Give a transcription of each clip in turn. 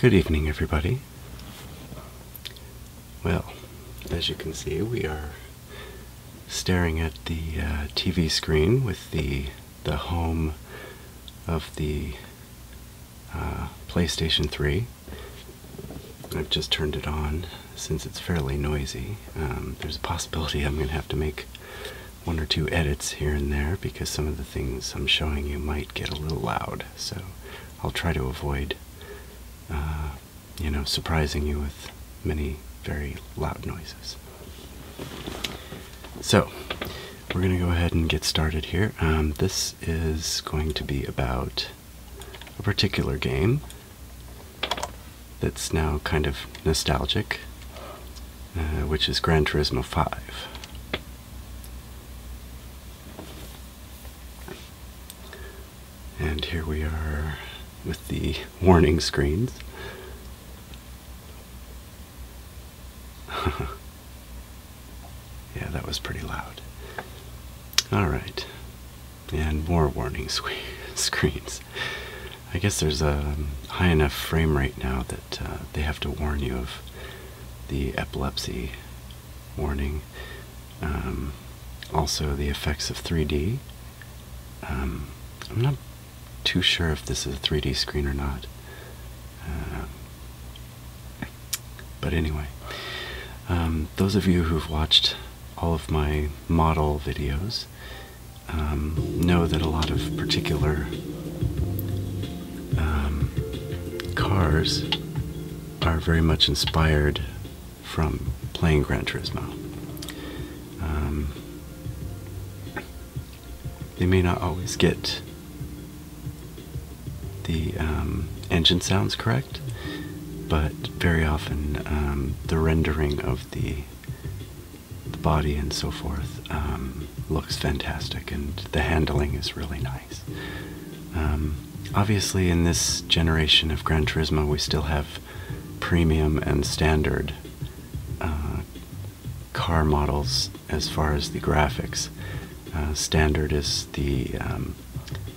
Good evening, everybody. Well, as you can see, we are staring at the uh, TV screen with the the home of the uh, PlayStation 3. I've just turned it on since it's fairly noisy. Um, there's a possibility I'm going to have to make one or two edits here and there because some of the things I'm showing you might get a little loud so I'll try to avoid, uh, you know, surprising you with many very loud noises. So, we're going to go ahead and get started here. Um, this is going to be about a particular game that's now kind of nostalgic, uh, which is Gran Turismo 5. And here we are with the warning screens. yeah, that was pretty loud. Alright. And more warning screens. I guess there's a high enough frame rate now that uh, they have to warn you of the epilepsy warning. Um, also, the effects of 3 di am um, not too sure if this is a 3D screen or not. Uh, but anyway, um, those of you who've watched all of my model videos know that a lot of particular um, cars are very much inspired from playing Gran Turismo. Um, they may not always get the um, engine sounds correct, but very often the rendering of the, body and so forth looks fantastic, and the handling is really nice. Um, obviously, in this generation of Gran Turismo, we still have premium and standard uh, car models as far as the graphics. Uh, standard is the um,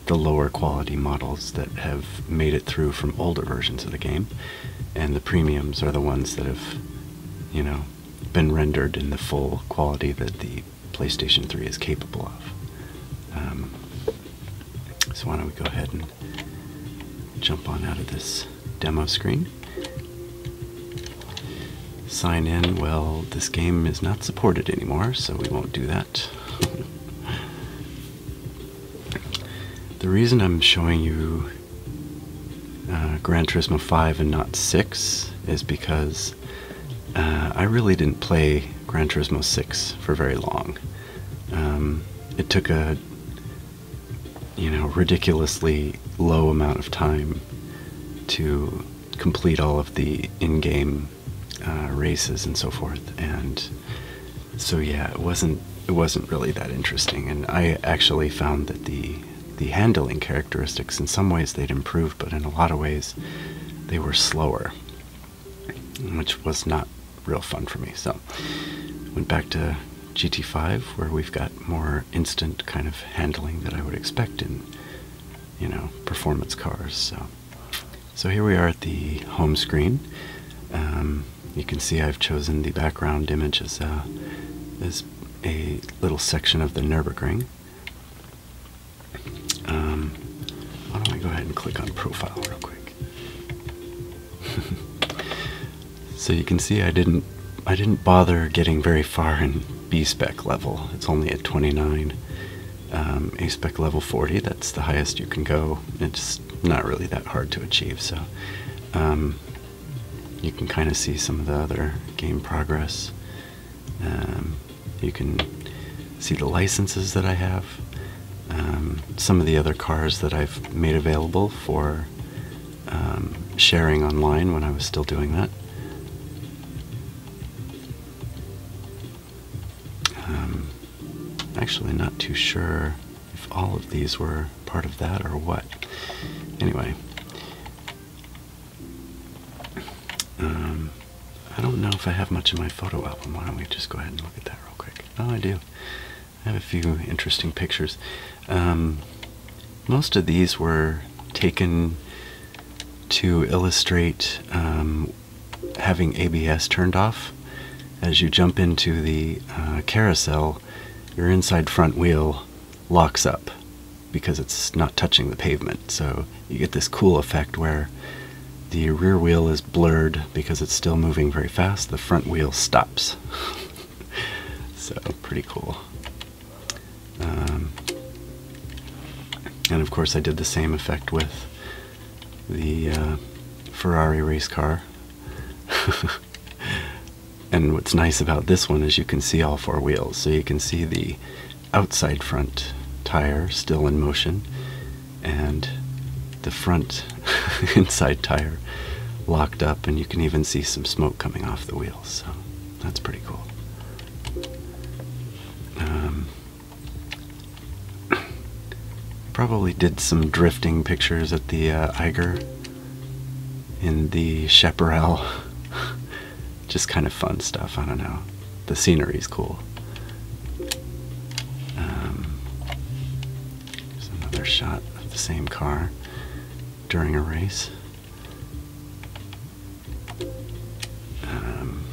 the lower quality models that have made it through from older versions of the game, and the premiums are the ones that have, you know, been rendered in the full quality that the PlayStation 3 is capable of. Um, so, why don't we go ahead and jump on out of this demo screen? Sign in. Well, this game is not supported anymore, so we won't do that. the reason I'm showing you uh, Gran Turismo 5 and not 6 is because uh, I really didn't play Gran Turismo 6 for very long. Um, it took a you know ridiculously low amount of time to complete all of the in-game uh, races and so forth, and so yeah, it wasn't it wasn't really that interesting. And I actually found that the the handling characteristics. In some ways, they'd improved, but in a lot of ways, they were slower, which was not real fun for me. So, went back to GT5, where we've got more instant kind of handling that I would expect in, you know, performance cars. So, so here we are at the home screen. Um, you can see I've chosen the background image as a, as a little section of the Nürburgring. Um, why don't I go ahead and click on profile real quick? so you can see I didn't I didn't bother getting very far in B spec level. It's only at 29. Um, A spec level 40, that's the highest you can go. It's not really that hard to achieve, so um, you can kind of see some of the other game progress. Um, you can see the licenses that I have, um, some of the other cars that I've made available for um, sharing online when I was still doing that. Um, actually, not too sure if all of these were part of that or what. Anyway, um, I don't know if I have much in my photo album. Why don't we just go ahead and look at that real quick? Oh, I do. I have a few interesting pictures. Um, most of these were taken to illustrate um, having ABS turned off. As you jump into the uh, carousel, your inside front wheel locks up because it's not touching the pavement. So you get this cool effect where the rear wheel is blurred because it's still moving very fast. The front wheel stops. so pretty cool. Um, and of course I did the same effect with the uh, Ferrari race car. and what's nice about this one is you can see all four wheels. So you can see the outside front tire still in motion and the front inside tire locked up and you can even see some smoke coming off the wheels so that's pretty cool um, probably did some drifting pictures at the uh, Eiger in the Chaparral just kind of fun stuff. I don't know. The scenery is cool. Um, another shot of the same car during a race. Um,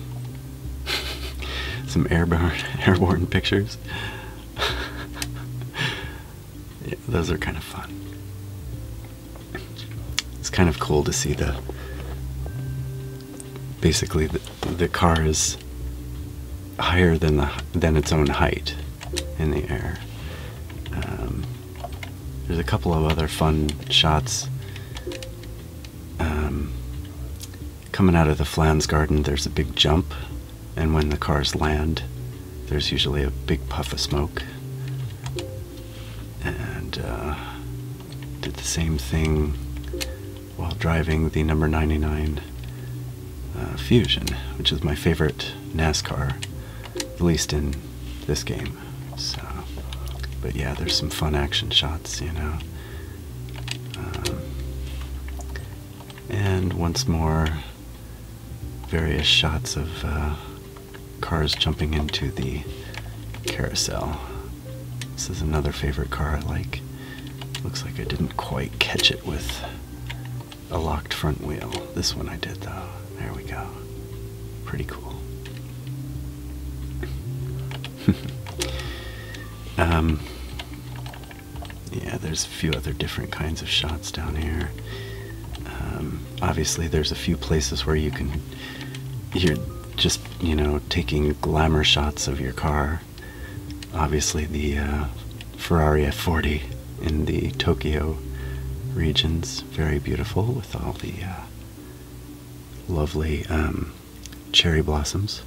some airborne airborne pictures. those are kind of fun it's kind of cool to see the basically the, the car is higher than the than its own height in the air. Um, there's a couple of other fun shots um, coming out of the Flans garden. There's a big jump, and when the cars land, there's usually a big puff of smoke and uh, did the same thing while driving the number 99 uh, Fusion, which is my favorite NASCAR, at least in this game. So, but yeah, there's some fun action shots, you know. Um, and once more, various shots of uh, cars jumping into the carousel. This is another favorite car I like. Looks like I didn't quite catch it with a locked front wheel. This one I did though. There we go. Pretty cool. um, yeah, there's a few other different kinds of shots down here. Um, obviously, there's a few places where you can. You're just, you know, taking glamour shots of your car. Obviously, the uh, Ferrari F40 in the Tokyo regions, very beautiful with all the uh, lovely um, cherry blossoms.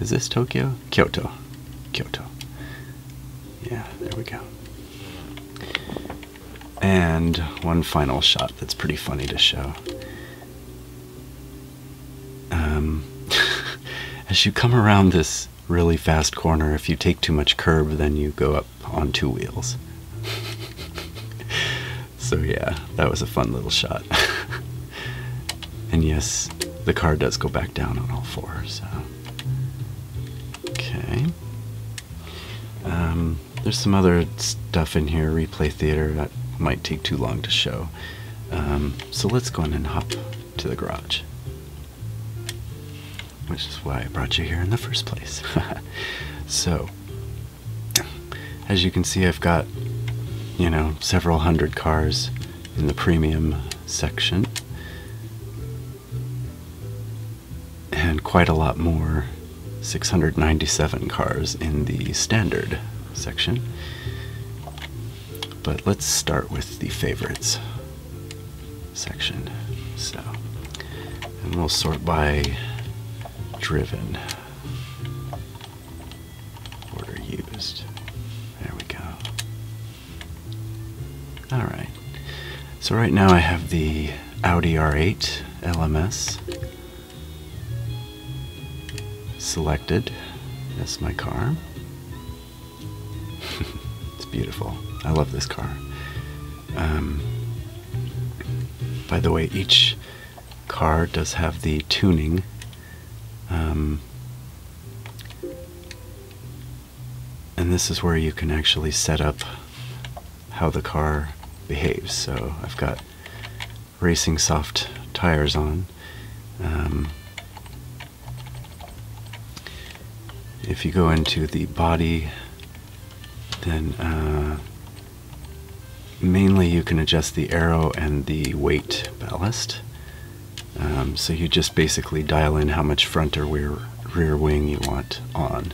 Is this Tokyo? Kyoto. Kyoto. Yeah, there we go. And one final shot that's pretty funny to show. Um, as you come around this really fast corner, if you take too much curb, then you go up on two wheels. so, yeah, that was a fun little shot. and yes, the car does go back down on all fours. So. Okay. Um, there's some other stuff in here, replay theater, that might take too long to show. Um, so let's go in and hop to the garage. Which is why I brought you here in the first place. so, as you can see, I've got, you know, several hundred cars in the premium section. And quite a lot more 697 cars in the standard section. But let's start with the favorites section. So, and we'll sort by driven order used. There we go. All right. So right now I have the Audi R8 LMS selected as my car. it's beautiful. I love this car. Um, by the way, each car does have the tuning um, and this is where you can actually set up how the car behaves. So I've got racing soft tires on. Um, if you go into the body, then uh, mainly you can adjust the arrow and the weight ballast. Um, so you just basically dial in how much front or rear, rear wing you want on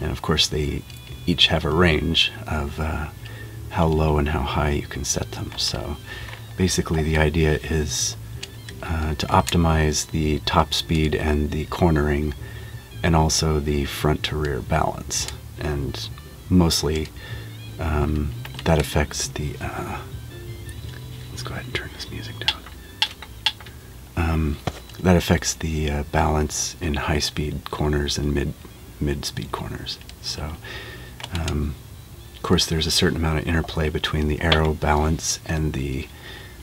and of course they each have a range of uh, how low and how high you can set them. So basically the idea is uh, to optimize the top speed and the cornering and also the front to rear balance. And mostly um, that affects the, uh, let's go ahead and turn this music down. Um, that affects the uh, balance in high speed corners and mid mid speed corners. So, um, of course, there's a certain amount of interplay between the arrow balance and the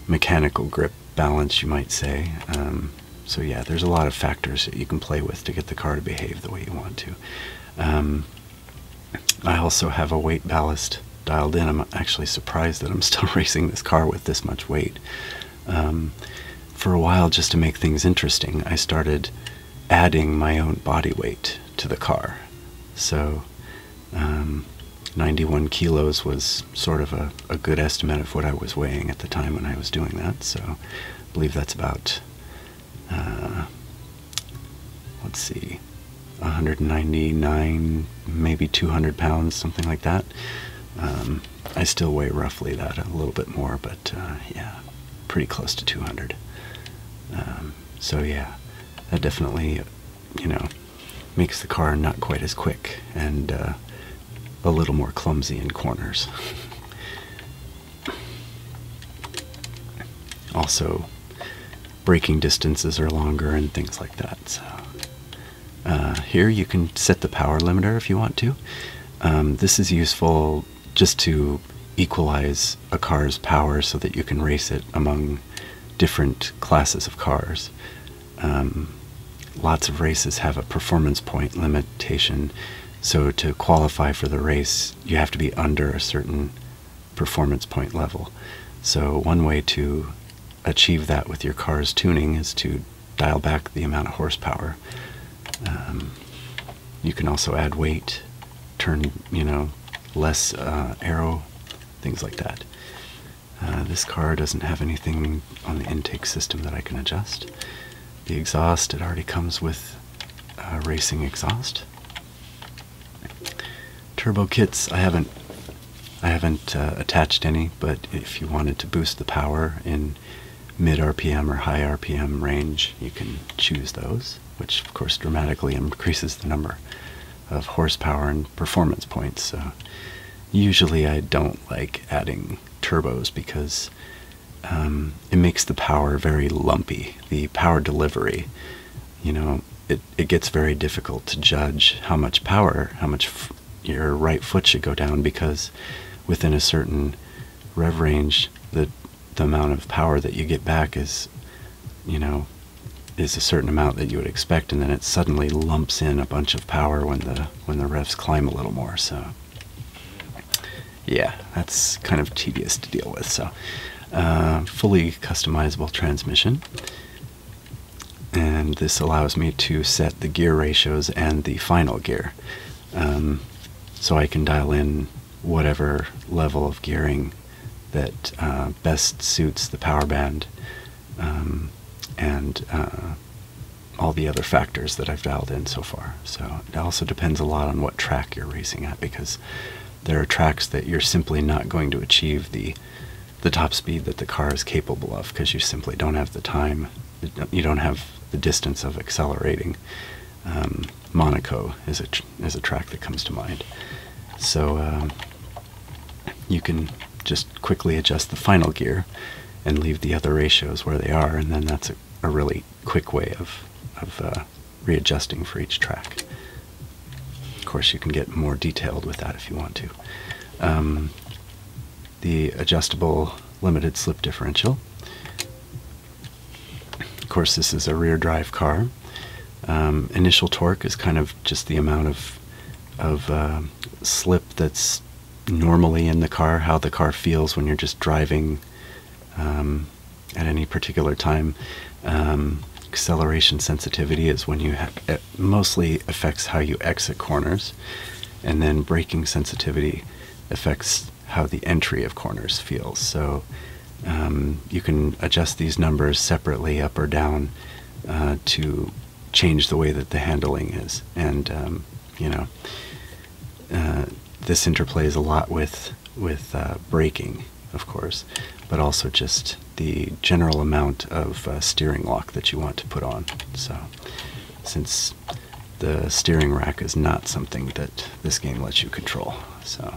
mechanical grip balance, you might say. Um, so yeah, there's a lot of factors that you can play with to get the car to behave the way you want to. I also have a weight ballast dialed in. I'm actually surprised that I'm still racing this car with this much weight. Um, for a while, just to make things interesting, I started adding my own body weight to the car. So um, 91 kilos was sort of a, good estimate of what I was weighing at the time when I was doing that. So I believe that's about, uh, let's see, 199, maybe 200 pounds, something like that. Um, I still weigh roughly that, a little bit more, but uh, yeah, pretty close to 200. Um, so yeah, that definitely, you know, makes the car not quite as quick and uh, a little more clumsy in corners. also, braking distances are longer and things like that. So uh, here you can set the power limiter if you want to. Um, this is useful just to equalize a car's power so that you can race it among different classes of cars. Um, lots of races have a performance point limitation, so to qualify for the race, you have to be under a certain performance point level. So, one way to achieve that with your car's tuning is to dial back the amount of horsepower. Um, you can also add weight, turn, you know, less uh, arrow, things like that. Uh, this car doesn't have anything on the intake system that I can adjust. The exhaust, it already comes with racing exhaust. Turbo kits, I haven't I haven't uh, attached any, but if you wanted to boost the power in mid RPM or high RPM range, you can choose those, which of course dramatically increases the number of horsepower and performance points. usually I don't like adding turbos because um, it makes the power very lumpy. The power delivery, you know, it, it gets very difficult to judge how much power, how much your right foot should go down because within a certain rev range the the amount of power that you get back is you know is a certain amount that you would expect and then it suddenly lumps in a bunch of power when the when the revs climb a little more so yeah that's kind of tedious to deal with so uh, fully customizable transmission and this allows me to set the gear ratios and the final gear. Um, so I can dial in whatever level of gearing that uh, best suits the power band um, and uh, all the other factors that I've dialed in so far. So it also depends a lot on what track you're racing at because there are tracks that you're simply not going to achieve the the top speed that the car is capable of because you simply don't have the time, you don't have the distance of accelerating. Um, Monaco is a is a track that comes to mind. So um, you can just quickly adjust the final gear and leave the other ratios where they are, and then that's a, a really quick way of of uh, readjusting for each track. Of course, you can get more detailed with that if you want to. Um, the adjustable limited slip differential. Of course, this is a rear drive car. Um, initial torque is kind of just the amount of of uh, slip that's normally in the car, how the car feels when you're just driving um, at any particular time. Um, acceleration sensitivity is when you have mostly affects how you exit corners, and then braking sensitivity affects how the entry of corners feels. So um, you can adjust these numbers separately up or down uh, to change the way that the handling is. And, um, you know, uh, this interplays a lot with, with uh, braking, of course, but also just the general amount of uh, steering lock that you want to put on. So, since the steering rack is not something that this game lets you control. So,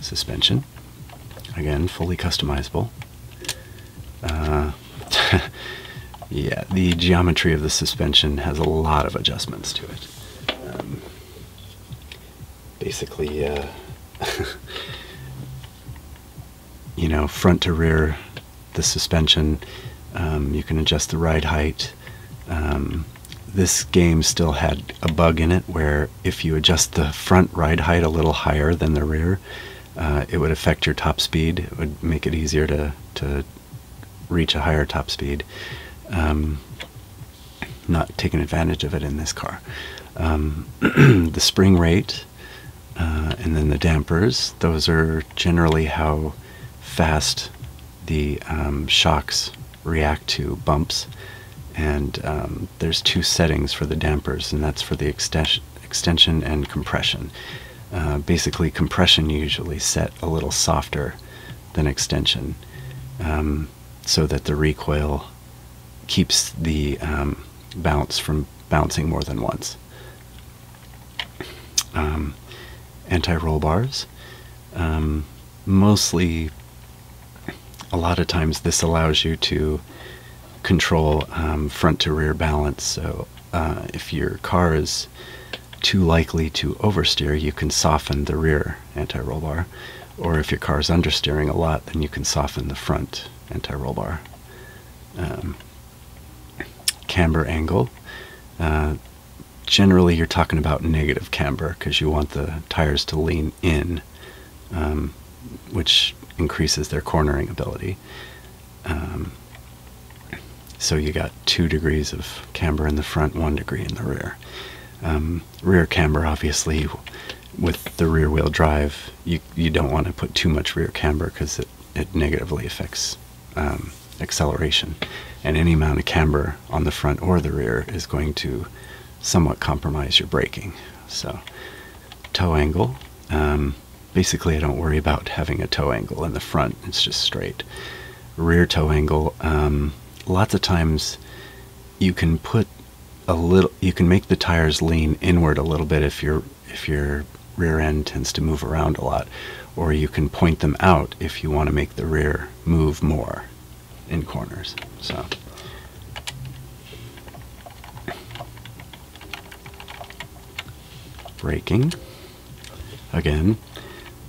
suspension, again, fully customizable. Uh, yeah, the geometry of the suspension has a lot of adjustments to it. Um, basically, uh, you know, front to rear, the suspension. Um, you can adjust the ride height. Um, this game still had a bug in it where if you adjust the front ride height a little higher than the rear, uh, it would affect your top speed. It would make it easier to, to reach a higher top speed. Um, not taking advantage of it in this car. the spring rate uh, and then the dampers. Those are generally how fast the um, shocks react to bumps. And um, there's two settings for the dampers, and that's for the extension, and compression. Uh, basically, compression usually set a little softer than extension um, so that the recoil keeps the bounce from bouncing more than once. Um, anti-roll bars. Um, mostly, a lot of times this allows you to control um, front to rear balance. So uh, if your car is too likely to oversteer, you can soften the rear anti-roll bar. Or if your car is understeering a lot, then you can soften the front anti-roll bar camber angle. Uh, generally, you're talking about negative camber because you want the tires to lean in, um, which increases their cornering ability. Um, so you got two degrees of camber in the front, one degree in the rear. Um, rear camber, obviously, with the rear wheel drive, you you don't want to put too much rear camber because it, it negatively affects um, acceleration. And any amount of camber on the front or the rear is going to somewhat compromise your braking. So toe angle, um, basically I don't worry about having a toe angle in the front, it's just straight. Rear toe angle, um, lots of times you can put a little, you can make the tires lean inward a little bit if you're if your rear end tends to move around a lot, or you can point them out if you want to make the rear move more in corners. So. Braking. Again,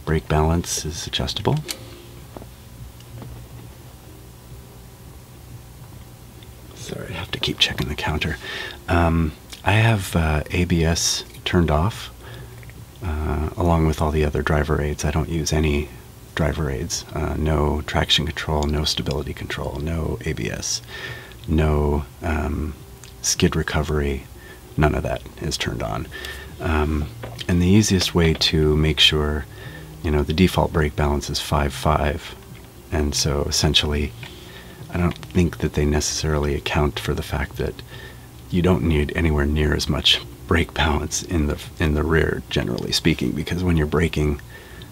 brake balance is adjustable. Sorry, I have to keep checking the counter. Um, I have uh, ABS turned off uh, along with all the other driver aids. I don't use any driver aids. Uh, no traction control, no stability control, no ABS, no um, skid recovery. None of that is turned on. Um, and the easiest way to make sure, you know, the default brake balance is five five. And so essentially, I don't think that they necessarily account for the fact that you don't need anywhere near as much brake balance in the in the rear generally speaking because when you're braking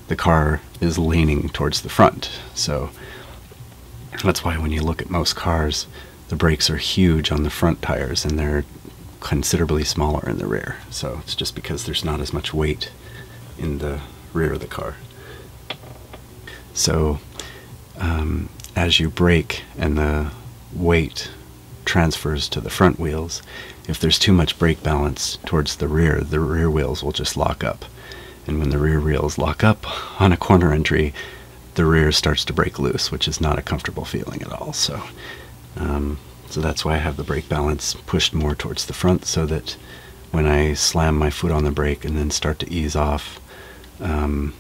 the car is leaning towards the front. So that's why when you look at most cars, the brakes are huge on the front tires and they're considerably smaller in the rear. So it's just because there's not as much weight in the rear of the car. So, um, as you brake and the weight transfers to the front wheels, if there's too much brake balance towards the rear, the rear wheels will just lock up. And when the rear wheels lock up on a corner entry, the rear starts to break loose, which is not a comfortable feeling at all. So, um, so that's why I have the brake balance pushed more towards the front so that when I slam my foot on the brake and then start to ease off, um,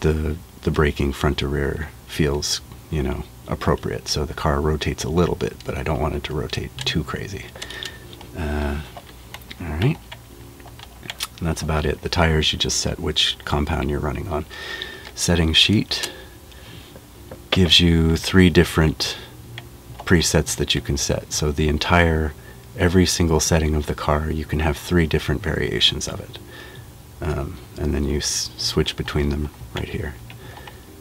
the the braking front to rear feels you know appropriate. So the car rotates a little bit, but I don't want it to rotate too crazy. Uh, all right, and that's about it. The tires you just set which compound you're running on. Setting sheet gives you three different presets that you can set. So the entire, every single setting of the car, you can have three different variations of it. Um, and then you switch between them right here.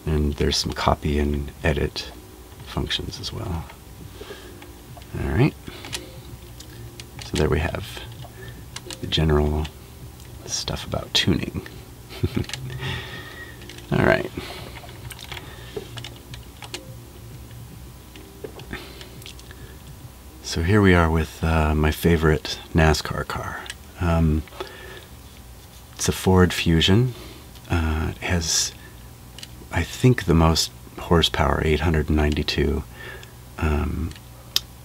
And there's some copy and edit functions as well. All right. So there we have the general stuff about tuning. All right. So here we are with uh, my favorite NASCAR car. Um, it's a Ford Fusion. Uh, it has, I think, the most horsepower, 892. Um,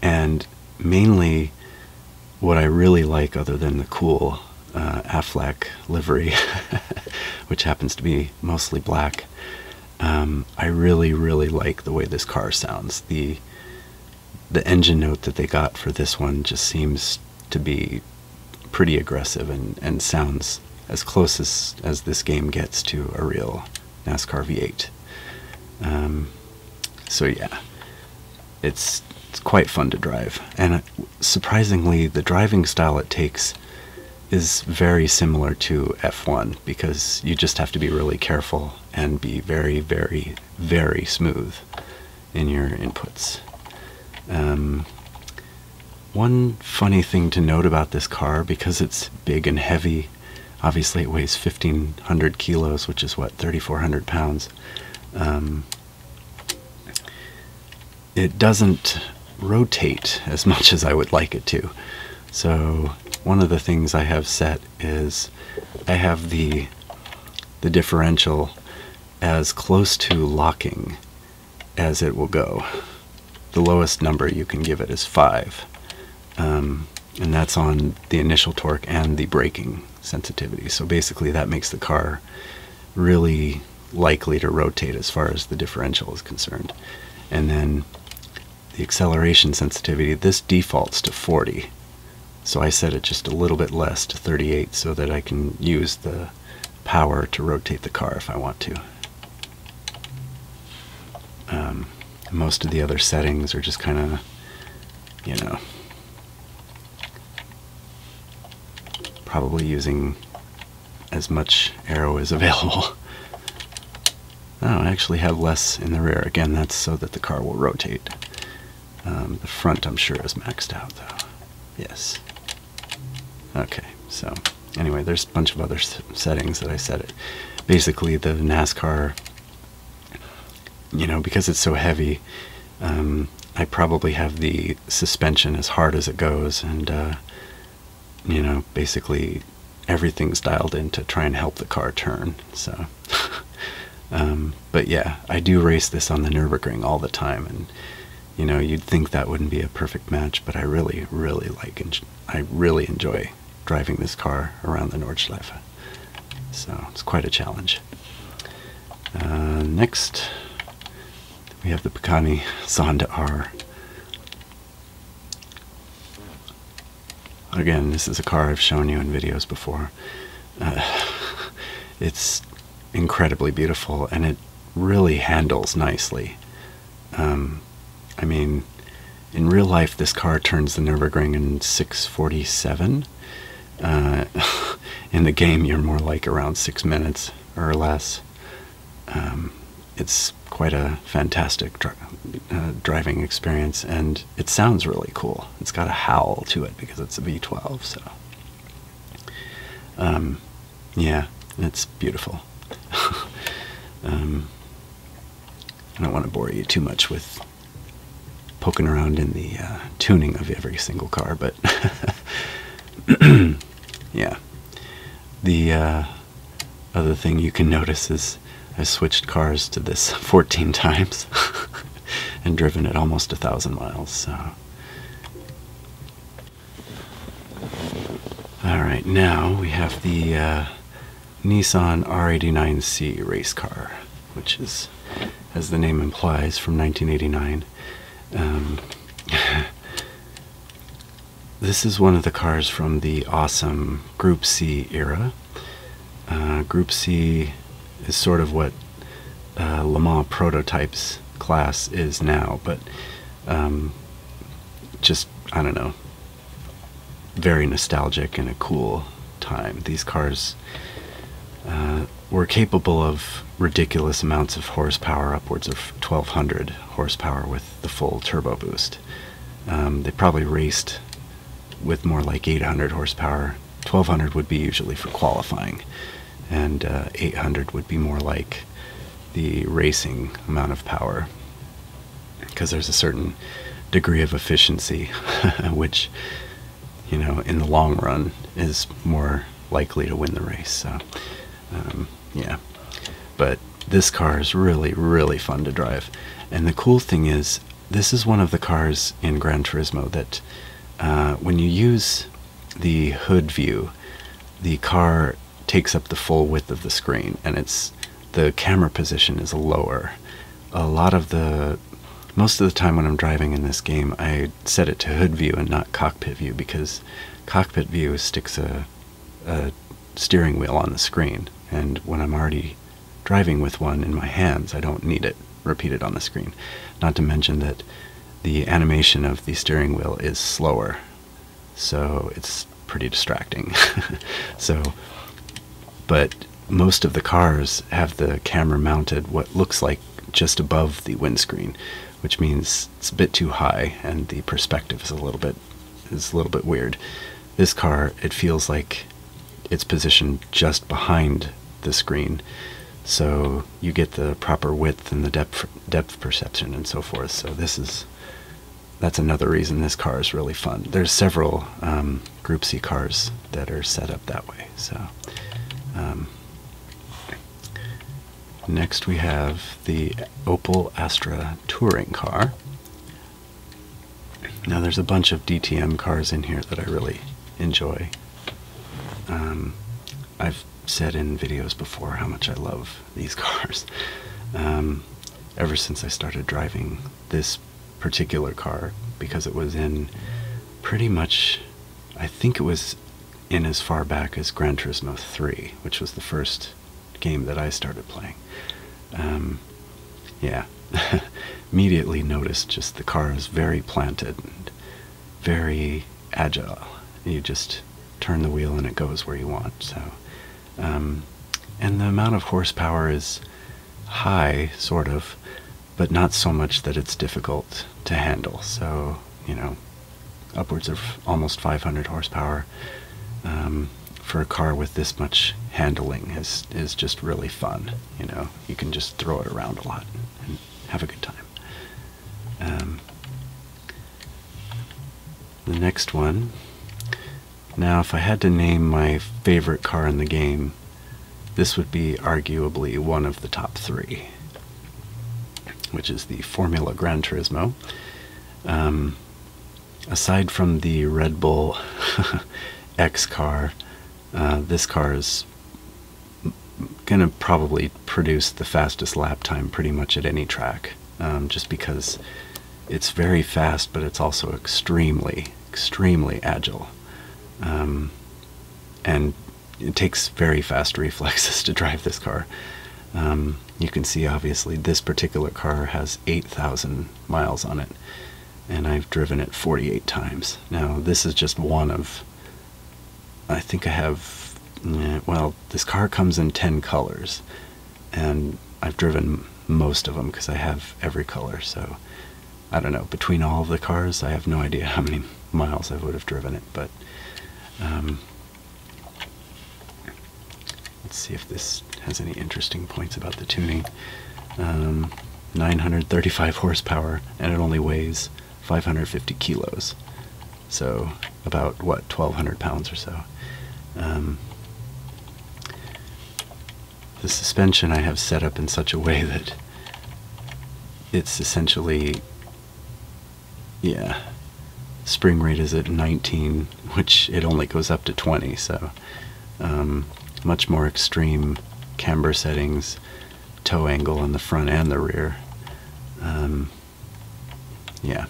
and mainly what I really like, other than the cool uh, Affleck livery, which happens to be mostly black. Um, I really, really like the way this car sounds. The the engine note that they got for this one just seems to be pretty aggressive and, and sounds as close as, as this game gets to a real NASCAR V8. Um, so yeah, it's, it's quite fun to drive. And surprisingly, the driving style it takes is very similar to F1 because you just have to be really careful and be very, very, very smooth in your inputs. Um, one funny thing to note about this car, because it's big and heavy, obviously it weighs 1,500 kilos, which is what, 3,400 pounds. Um, it doesn't rotate as much as I would like it to. So one of the things I have set is I have the the differential as close to locking as it will go. The lowest number you can give it is 5. Um, and that's on the initial torque and the braking sensitivity. So basically that makes the car really likely to rotate as far as the differential is concerned. And then the acceleration sensitivity, this defaults to 40. So I set it just a little bit less to 38 so that I can use the power to rotate the car if I want to. Um, most of the other settings are just kind of, you know, probably using as much arrow as available. No, oh, I actually have less in the rear. Again, that's so that the car will rotate. Um, the front, I'm sure, is maxed out, though. Yes. Okay, so anyway, there's a bunch of other settings that I set Basically, the NASCAR, you know, because it's so heavy, um, I probably have the suspension as hard as it goes, and uh, you know, basically everything's dialed in to try and help the car turn. So, um, but yeah, I do race this on the Nurburgring all the time, and you know, you'd think that wouldn't be a perfect match, but I really, really like, and I really enjoy driving this car around the Nordschleife. So it's quite a challenge. Uh, next, we have the Picani Sonda R. Again, this is a car I've shown you in videos before. Uh, it's incredibly beautiful and it really handles nicely. Um, I mean, in real life, this car turns the Nürburgring in 647. Uh, in the game, you're more like around six minutes or less. Um, it's quite a fantastic uh, driving experience, and it sounds really cool. It's got a howl to it because it's a V12, so. Um, yeah, it's beautiful. Um, I don't want to bore you too much with poking around in the uh, tuning of every single car, but Yeah. The uh, other thing you can notice is I switched cars to this 14 times and driven it almost a thousand miles. So. Alright, now we have the uh, Nissan R89C race car, which is, as the name implies, from 1989. Um, This is one of the cars from the awesome Group C era. Uh, Group C is sort of what uh, Le Mans prototypes class is now, but um, just, I don't know, very nostalgic and a cool time. These cars uh, were capable of ridiculous amounts of horsepower, upwards of 1200 horsepower with the full turbo boost. Um, they probably raced with more like 800 horsepower. 1200 would be usually for qualifying, and uh, 800 would be more like the racing amount of power because there's a certain degree of efficiency which you know in the long run is more likely to win the race um, yeah. But this car is really, really fun to drive. And the cool thing is, this is one of the cars in Gran Turismo that uh, when you use the hood view, the car takes up the full width of the screen and it's the camera position is lower. A lot of the most of the time when I'm driving in this game, I set it to hood view and not cockpit view because cockpit view sticks a steering wheel on the screen, and when I'm already driving with one in my hands, I don't need it repeated on the screen. Not to mention that the animation of the steering wheel is slower, so it's pretty distracting. so, but most of the cars have the camera mounted what looks like just above the windscreen, which means it's, a bit too high and the perspective is a little bit is a little bit weird. This car, it feels like it's positioned just behind the screen, so you get the proper width and the depth depth perception and so forth. So this is that's another reason this car is really fun. There's several um, Group C cars that are set up that way. So um, Next we have the Opel Astra touring car. Now there's a bunch of DTM cars in here that I really enjoy. Um, I've said in videos before how much I love these cars. Um, ever since I started driving this particular car because it was in pretty much I think it was in as far back as Gran Turismo 3, which was the first game that I started playing. Um, yeah, immediately noticed just the car is very planted and very agile. You just turn the wheel and it goes where you want. So, um, and the amount of horsepower is high, sort of, but not so much that it's difficult to handle. So, you know, upwards of almost 500 horsepower um, for a car with this much handling is is just really fun. You know, you can just throw it around a lot and have a good time. Um, the next one. Now, if I had to name my favorite car in the game, this would be arguably one of the top three which is the Formula Grand Turismo. Um, aside from the Red Bull X car, uh, this car is going to probably produce the fastest lap time pretty much at any track, um, just because it's very fast, but it's also extremely, extremely agile. Um, and it takes very fast reflexes to drive this car. Um, you can see obviously this particular car has 8,000 miles on it, and I've driven it 48 times. Now, this is just one of, I think I have, eh, well, this car comes in 10 colors, and I've driven most of them because I have every color, so I don't know. Between all of the cars, I have no idea how many miles I would have driven it, but um, Let's see if this has any interesting points about the tuning. Um, 935 horsepower, and it only weighs 550 kilos. So, about what, 1200 pounds or so. Um, the suspension I have set up in such a way that it's essentially yeah, spring rate is at 19, which it only goes up to 20, so um, much more extreme camber settings, toe angle in the front and the rear. Um, yeah.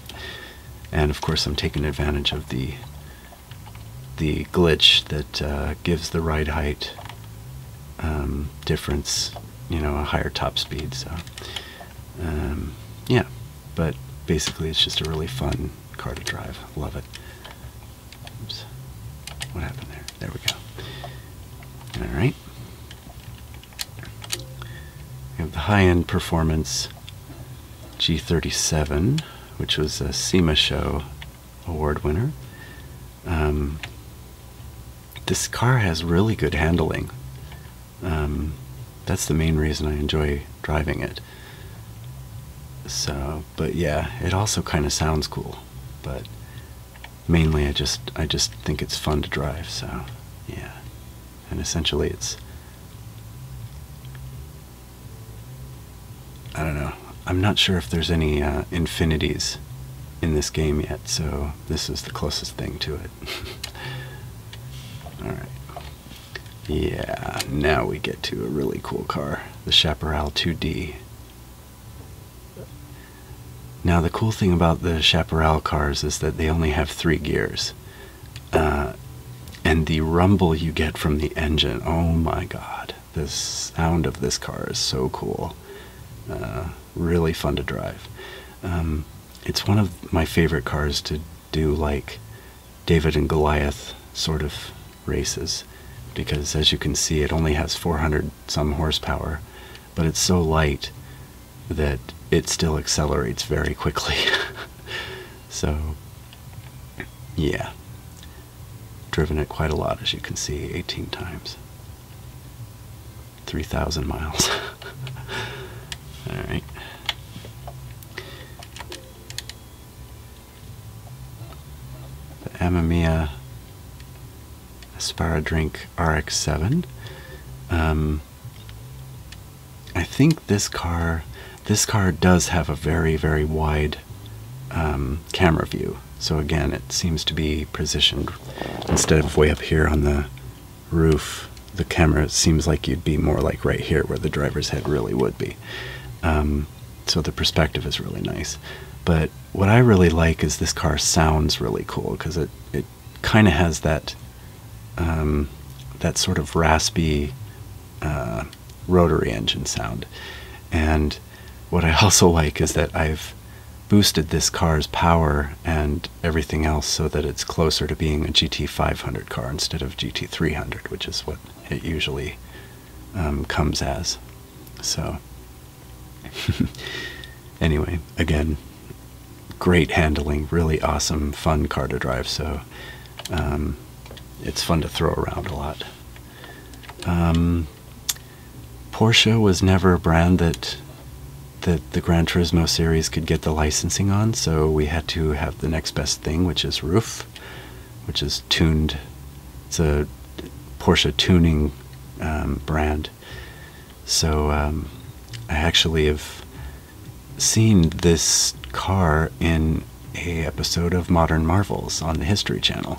and of course I'm taking advantage of the the glitch that uh, gives the ride height um, difference, you know, a higher top speed. So. Um, yeah, but basically it's just a really fun car to drive. Love it. What happened there? There we go. All right. We have the high-end performance G37, which was a SEMA show award winner. Um, this car has really good handling. Um, that's the main reason I enjoy driving it. So, but yeah, it also kind of sounds cool, but mainly I just I just think it's fun to drive. So, yeah, and essentially it's I don't know. I'm not sure if there's any uh, infinities in this game yet, so this is the closest thing to it. Alright. Yeah, now we get to a really cool car the Chaparral 2D. Now, the cool thing about the Chaparral cars is that they only have three gears. Uh, and the rumble you get from the engine, oh my god, the sound of this car is so cool. Uh, really fun to drive. Um, it's one of my favorite cars to do like David and Goliath sort of races because as you can see it only has 400 some horsepower but it's so light that it still accelerates very quickly. so yeah, driven it quite a lot as you can see 18 times. 3,000 miles. Alright. The Amamiya Aspara Drink RX-7. Um, I think this car, this car does have a very, very wide um, camera view. So again, it seems to be positioned instead of way up here on the roof, the camera seems like you'd be more like right here where the driver's head really would be. Um, so the perspective is really nice. But what I really like is this car sounds really cool because it, it kind of has that um, that sort of raspy uh, rotary engine sound. And what I also like is that I've boosted this car's power and everything else so that it's closer to being a GT500 car instead of GT300, which is what it usually um, comes as. So, anyway, again, great handling, really awesome, fun car to drive. So, um, it's fun to throw around a lot. Um, Porsche was never a brand that that the Gran Turismo series could get the licensing on, so we had to have the next best thing, which is Roof, which is tuned. It's a Porsche tuning um, brand. So um, I actually have seen this car in a episode of Modern Marvels on the History Channel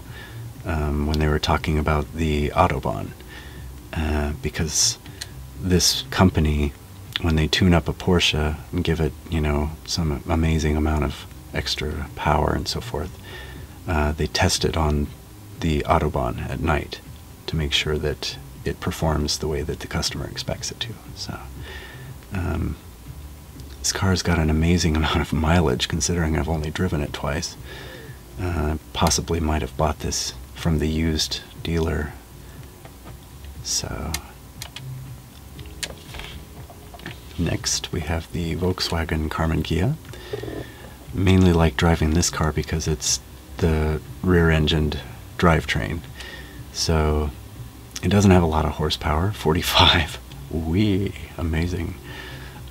um, when they were talking about the Autobahn, uh, because this company, when they tune up a Porsche and give it, you know, some amazing amount of extra power and so forth, uh, they test it on the Autobahn at night to make sure that it performs the way that the customer expects it to. So, um, this car's got an amazing amount of mileage considering I've only driven it twice. Uh, possibly might have bought this from the used dealer. So, next we have the Volkswagen Carmen Gia. Mainly like driving this car because it's the rear engined drivetrain. So, it doesn't have a lot of horsepower 45. We amazing.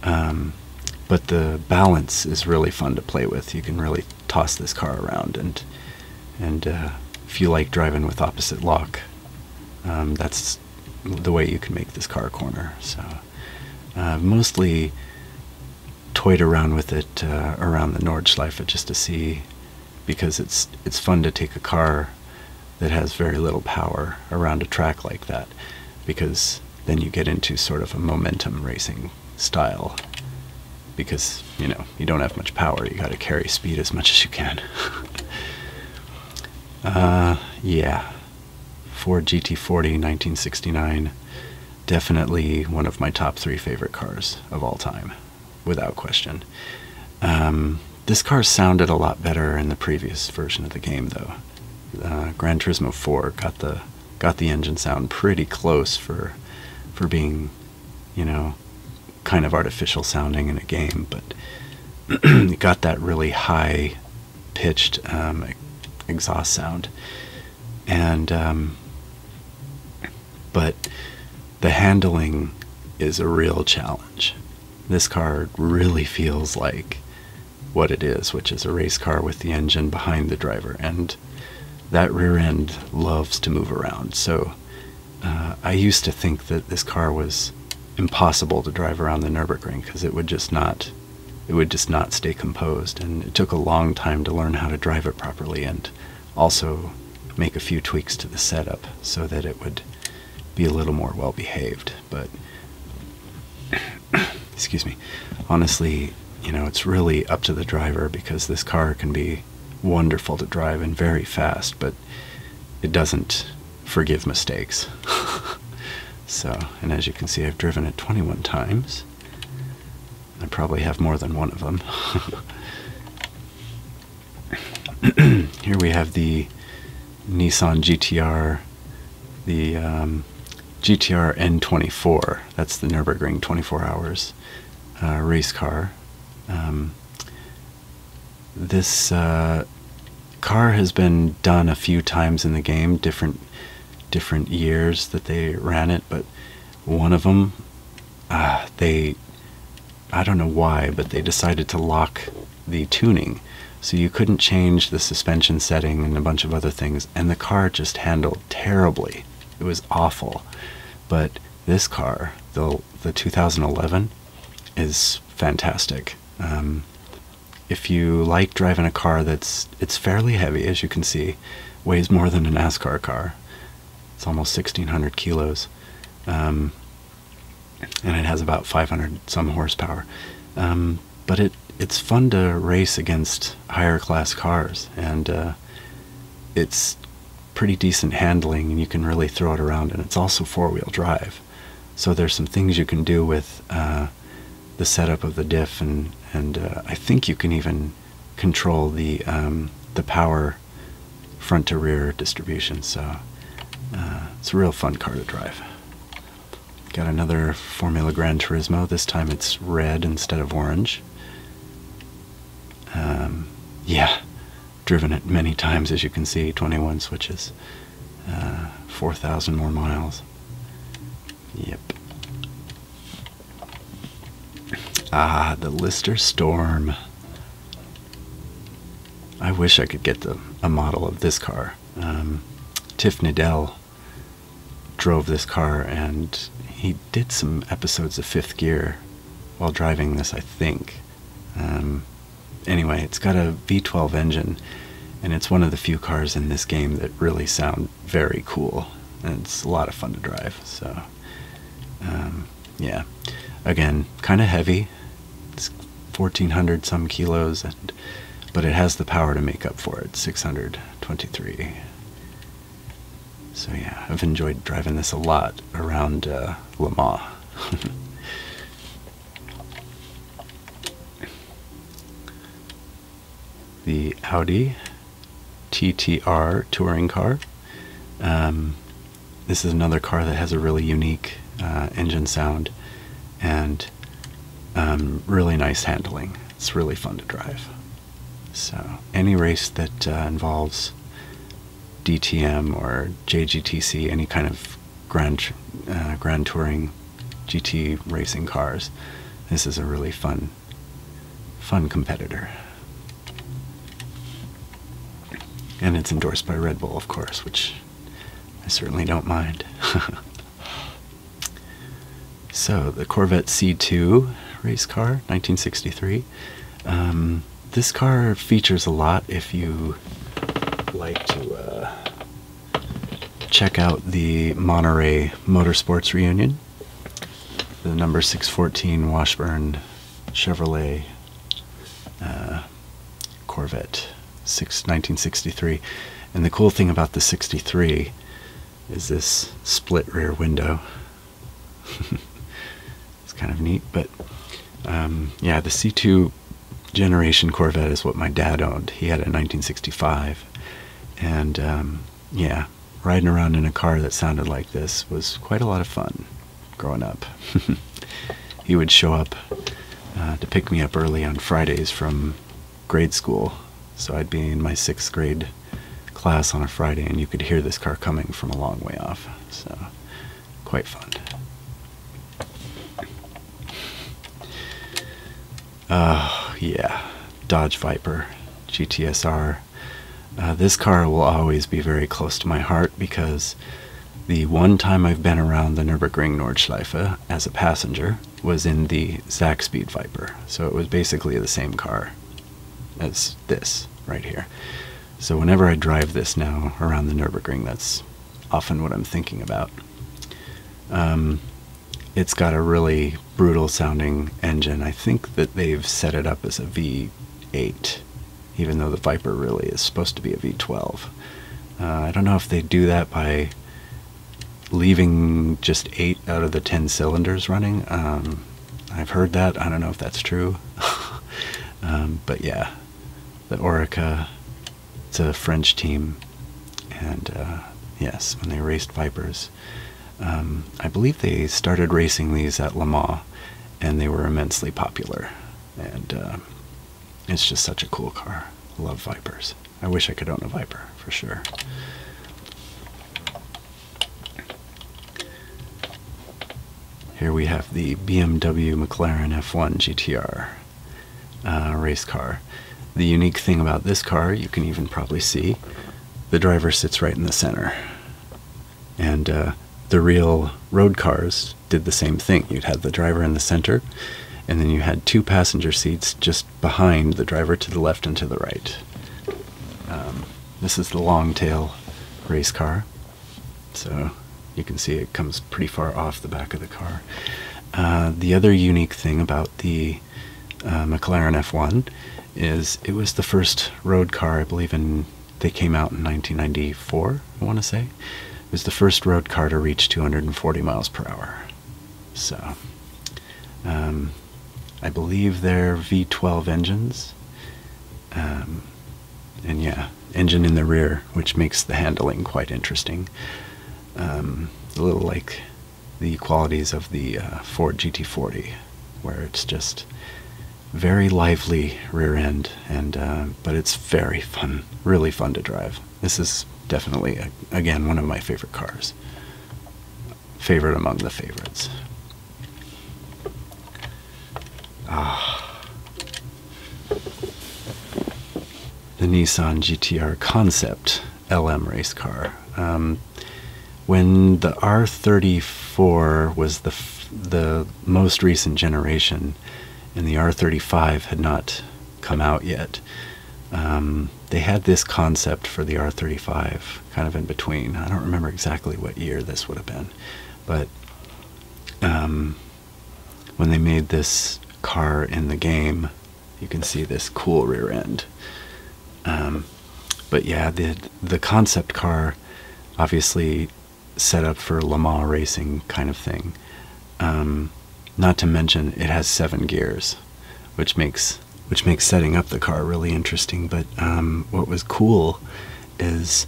Um, but the balance is really fun to play with. You can really toss this car around and and uh, if you like driving with opposite lock, um, that's the way you can make this car corner. So uh, mostly toyed around with it uh, around the Nordschleife just to see because it's it's fun to take a car that has very little power around a track like that because then you get into sort of a momentum racing style because, you know, you don't have much power. You got to carry speed as much as you can. Uh, yeah. Ford GT40 1969 definitely one of my top three favorite cars of all time, without question. Um, this car sounded a lot better in the previous version of the game, though. Uh, Gran Turismo 4 got the got the engine sound pretty close for for being, you know, kind of artificial sounding in a game, but got that really high pitched um, exhaust sound. And um, but the handling is a real challenge. This car really feels like what it is, which is a race car with the engine behind the driver. And that rear end loves to move around. So uh, I used to think that this car was impossible to drive around the Nurburgring because it would just not it would just not stay composed and it took a long time to learn how to drive it properly and also make a few tweaks to the setup so that it would be a little more well behaved but excuse me, honestly, you know, it's really up to the driver because this car can be wonderful to drive and very fast, but it doesn't forgive mistakes. so, and as you can see, I've driven it 21 times. I probably have more than one of them. Here we have the Nissan GTR, the um, GTR N24. That's the Nurburgring 24 Hours uh, race car. Um, this uh, car has been done a few times in the game, different different years that they ran it, but one of them, uh, they, I don't know why, but they decided to lock the tuning. So you couldn't change the suspension setting and a bunch of other things, and the car just handled terribly. It was awful. But this car, the the 2011, is fantastic. Um, if you like driving a car that's it's fairly heavy, as you can see, weighs more than a NASCAR car. It's almost 1,600 kilos, um, and it has about 500 some horsepower. Um, but it it's fun to race against higher class cars, and uh, it's pretty decent handling, and you can really throw it around. And it's also four wheel drive, so there's some things you can do with uh, the setup of the diff, and and uh, I think you can even control the um, the power front to rear distribution. So it's a real fun car to drive. Got another Formula Grand Turismo. This time it's red instead of orange. Um, yeah, driven it many times as you can see, 21 switches, uh, 4,000 more miles. Yep. Ah, the Lister Storm. I wish I could get the, a model of this car. Um, Tiff Nidell drove this car, and he did some episodes of Fifth Gear while driving this, I think. Um, anyway, it's got a V12 engine, and it's one of the few cars in this game that really sound very cool, it's a lot of fun to drive. So, um, yeah, again, kind of heavy. It's 1,400 some kilos, and but it has the power to make up for it. 623. So yeah, I've enjoyed driving this a lot around uh, La Lamar. the Audi TTR touring car. Um, this is another car that has a really unique uh, engine sound and um, really nice handling. It's really fun to drive. So any race that uh, involves DTM or JGTC, any kind of grand uh, grand touring GT racing cars, this is a really fun fun competitor. And it's endorsed by Red Bull, of course, which I certainly don't mind. So the Corvette C2 race car, 1963. Um, this car features a lot if you like to uh, check out the Monterey Motorsports Reunion. The number 614 Washburn Chevrolet uh, Corvette, 1963. And the cool thing about the 63 is this split rear window. it's kind of neat, but um, yeah, the C2 generation Corvette is what my dad owned. He had a 1965, and um, yeah, riding around in a car that sounded like this was quite a lot of fun growing up. he would show up uh, to pick me up early on Fridays from grade school. So I'd be in my sixth grade class on a Friday, and you could hear this car coming from a long way off. So, quite fun. Uh, yeah, Dodge Viper GTSR. Uh, this car will always be very close to my heart because the one time I've been around the Nürburgring Nordschleife as a passenger, was in the Zach Speed Viper. So it was basically the same car as this right here. So whenever I drive this now around the Nürburgring, that's often what I'm thinking about. Um, it's got a really brutal sounding engine. I think that they've set it up as a V8, even though the Viper really is supposed to be a V12. Uh, I don't know if they do that by leaving just eight out of the ten cylinders running. Um, I've heard that. I don't know if that's true. Um, but yeah, the Orica, it's a French team. And uh, yes, when they raced Vipers, um, I believe they started racing these at Le Mans and they were immensely popular. And uh, it's just such a cool car. Love Vipers. I wish I could own a Viper for sure. Here we have the BMW McLaren F1 GTR uh, race car. The unique thing about this car, you can even probably see, the driver sits right in the center. And uh, the real road cars did the same thing. You'd have the driver in the center, and then you had two passenger seats just behind the driver to the left and to the right. Um, this is the long tail race car, so you can see it comes pretty far off the back of the car. Uh, the other unique thing about the uh, McLaren F1 is it was the first road car, I believe, and they came out in 1994, I want to say. It was the first road car to reach 240 miles per hour. So, um, I believe they're V12 engines. Um, and yeah, engine in the rear, which makes the handling quite interesting. Um, a little like the qualities of the uh, Ford GT40, where it's just very lively rear end, and uh, but it's very fun, really fun to drive. This is definitely, again, one of my favorite cars favorite among the favorites. Ah. The Nissan GTR Concept LM race car. Um, when the R34 was the the most recent generation, and the R35 had not come out yet, um, they had this concept for the R35 kind of in between. I don't remember exactly what year this would have been, but um, when they made this car in the game, you can see this cool rear end. Um, but yeah, the the concept car, obviously, set up for Le Mans racing kind of thing. Um, not to mention, it has seven gears which makes which makes setting up the car really interesting. But um, what was cool is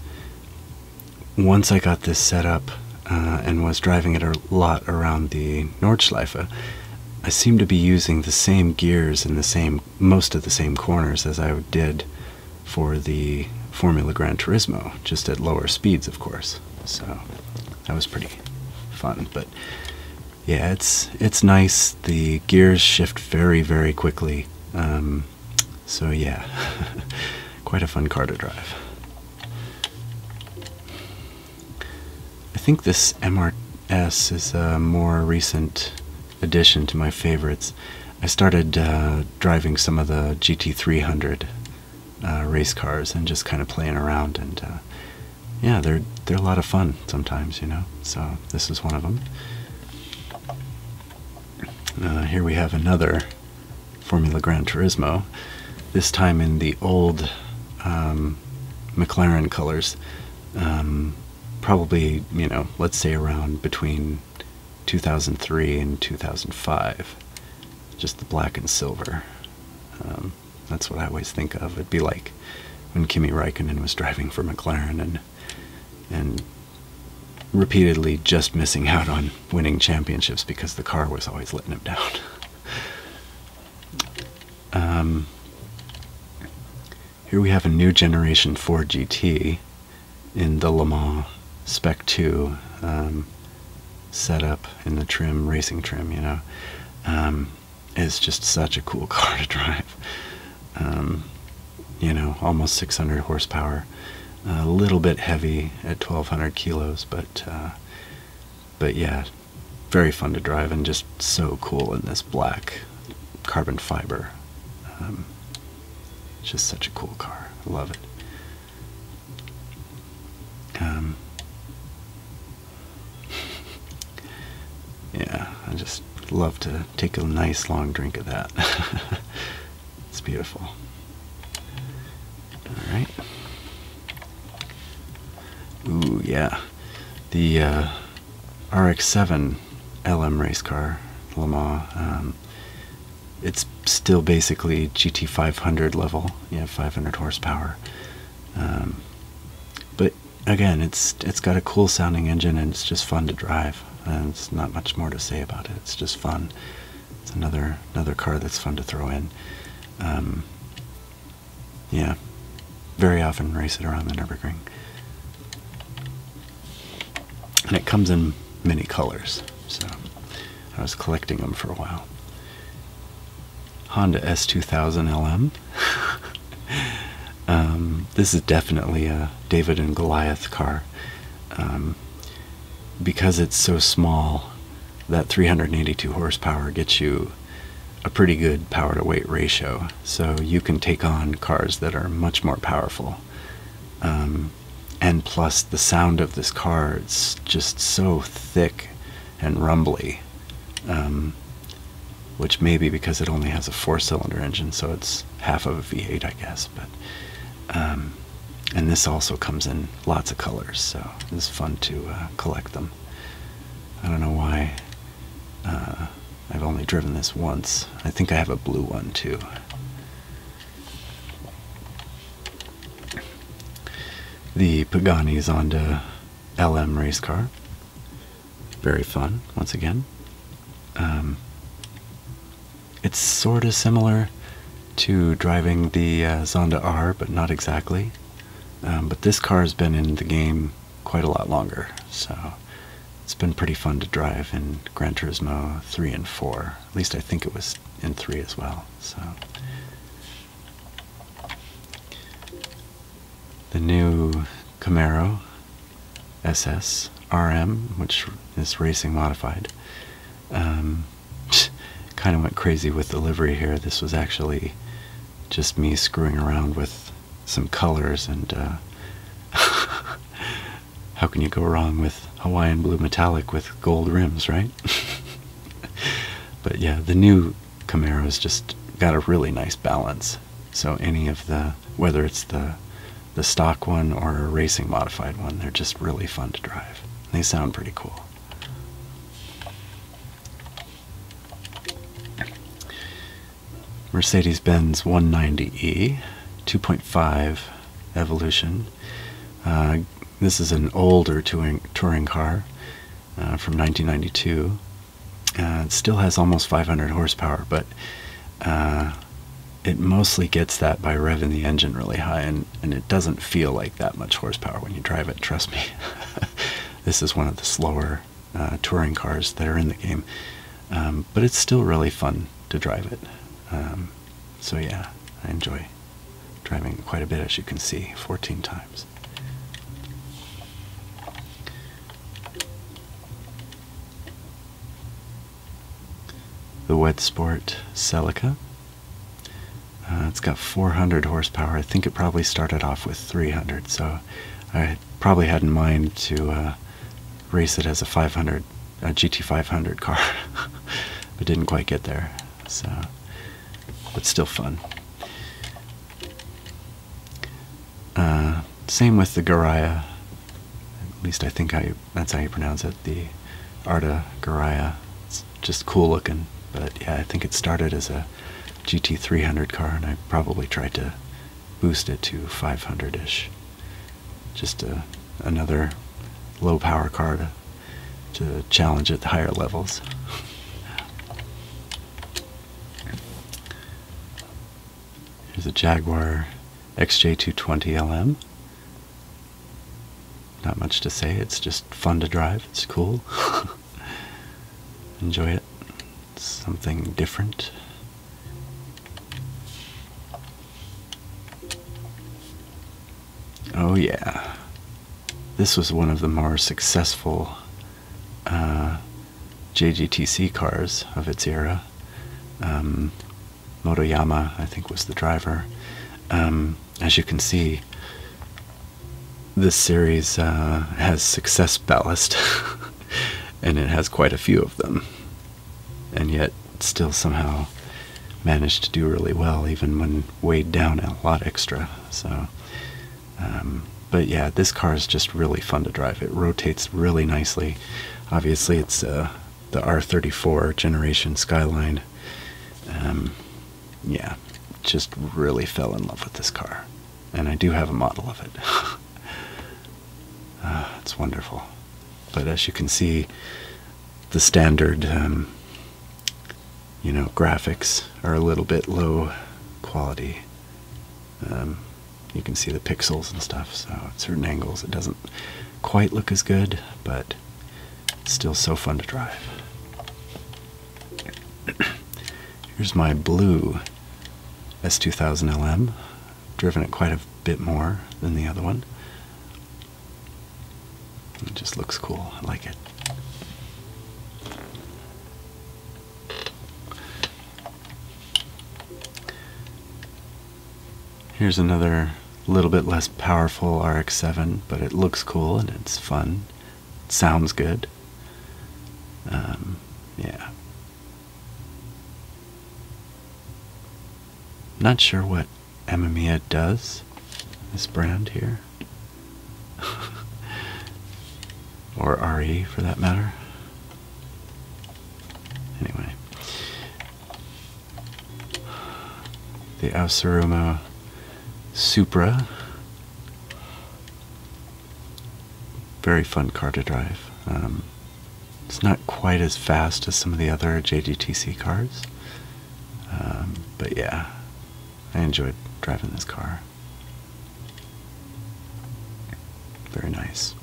once I got this set up uh, and was driving it a lot around the Nordschleife, I seemed to be using the same gears and the same most of the same corners as I did for the Formula Grand Turismo, just at lower speeds, of course. So that was pretty fun. But yeah, it's it's nice. The gears shift very very quickly. Um, so yeah, quite a fun car to drive. I think this MRS is a more recent addition to my favorites. I started uh, driving some of the GT300 uh, race cars and just kind of playing around, and uh, yeah, they're they're a lot of fun sometimes, you know. So this is one of them. Uh, here we have another Formula Grand Turismo. This time in the old um, McLaren colors. Um, probably, you know, let's say around between 2003 and 2005. Just the black and silver. Um, that's what I always think of. It'd be like when Kimi Raikkonen was driving for McLaren and and repeatedly just missing out on winning championships because the car was always letting him down. Um, here we have a new generation 4 GT in the Le Mans Spec 2 um, setup in the trim, racing trim, you know. Um, is just such a cool car to drive. Um, you know, almost 600 horsepower, a little bit heavy at 1,200 kilos, but uh, but yeah, very fun to drive and just so cool in this black carbon fiber. Um, just such a cool car. I love it. Um, yeah, I just love to take a nice long drink of that. it's beautiful. All right. Ooh, yeah. The uh, RX-7 LM race car, Le Mans, um, it's still basically GT500 level. You have 500 horsepower. Um, but again, it's it's got a cool sounding engine and it's just fun to drive. And it's not much more to say about it. It's just fun. It's another another car that's fun to throw in. Um, yeah, very often race it around the Nurburgring, and it comes in many colors. So I was collecting them for a while. Honda S2000 LM. Um, this is definitely a David and Goliath car. Um, because it's so small, that 382 horsepower gets you a pretty good power to weight ratio. So you can take on cars that are much more powerful. Um, and plus, the sound of this car its just so thick and rumbly um, which may be because it only has a four-cylinder engine, so it's half of a V8, I guess. But um, and this also comes in lots of colors, so it's fun to uh, collect them. I don't know why uh, I've only driven this once. I think I have a blue one too. The Pagani's Honda LM race car. Very fun, once again. Um, it's sort of similar to driving the uh, Zonda R, but not exactly. Um, but this car has been in the game quite a lot longer, so it's been pretty fun to drive in Gran Turismo 3 and 4. At least I think it was in 3 as well. So the new Camaro SS RM, which is racing modified. Um, kind of went crazy with the livery here. This was actually just me screwing around with some colors and uh, how can you go wrong with Hawaiian blue metallic with gold rims, right? but yeah, the new Camaro's just got a really nice balance. So any of the whether it's the the stock one or a racing modified one, they're just really fun to drive. They sound pretty cool. Mercedes-Benz 190e 2.5 Evolution. Uh, this is an older touring, touring car uh, from 1992. Uh, it still has almost 500 horsepower, but uh, it mostly gets that by revving the engine really high, and, it doesn't feel like that much horsepower when you drive it, trust me. this is one of the slower uh, touring cars that are in the game, um, but it's still really fun to drive it. Um, so, yeah, I enjoy driving quite a bit, as you can see, 14 times. The wet sport Celica. Uh, it's got 400 horsepower. I think it probably started off with 300, so I probably had in mind to uh, race it as a 500 a GT500 car, but didn't quite get there. So, but still fun. Uh, same with the Garaya. At least I think how that's how you pronounce it. The Arda Garaya. It's just cool looking. But yeah, I think it started as a GT300 car, and I probably tried to boost it to 500-ish. Just uh, another low power car to, to challenge at higher levels. Here's a Jaguar XJ220LM. Not much to say, it's just fun to drive, it's cool. Enjoy it. It's something different. Oh yeah. This was one of the more successful uh, JGTC cars of its era. Um, Motoyama, I think, was the driver. Um, as you can see, this series uh, has success ballast, and it has quite a few of them, and yet still somehow managed to do really well, even when weighed down a lot extra. So um, but yeah, this car is just really fun to drive. It rotates really nicely. Obviously, it's uh, the R34 generation Skyline. Um, yeah, just really fell in love with this car. And I do have a model of it. Ah, it's wonderful. But as you can see, the standard, um, you know, graphics are a little bit low quality. Um, you can see the pixels and stuff, so at certain angles it doesn't quite look as good, but still so fun to drive. Here's my blue S2000LM. Driven it quite a bit more than the other one. It just looks cool. I like it. Here's another little bit less powerful RX-7, but it looks cool and it's fun. It sounds good. Um, yeah. Not sure what Amamiya does. This brand here. or RE for that matter. Anyway, the Auseruma Supra. Very fun car to drive. Um, it's not quite as fast as some of the other JGTC cars, um, but yeah, I enjoyed driving this car. Very nice.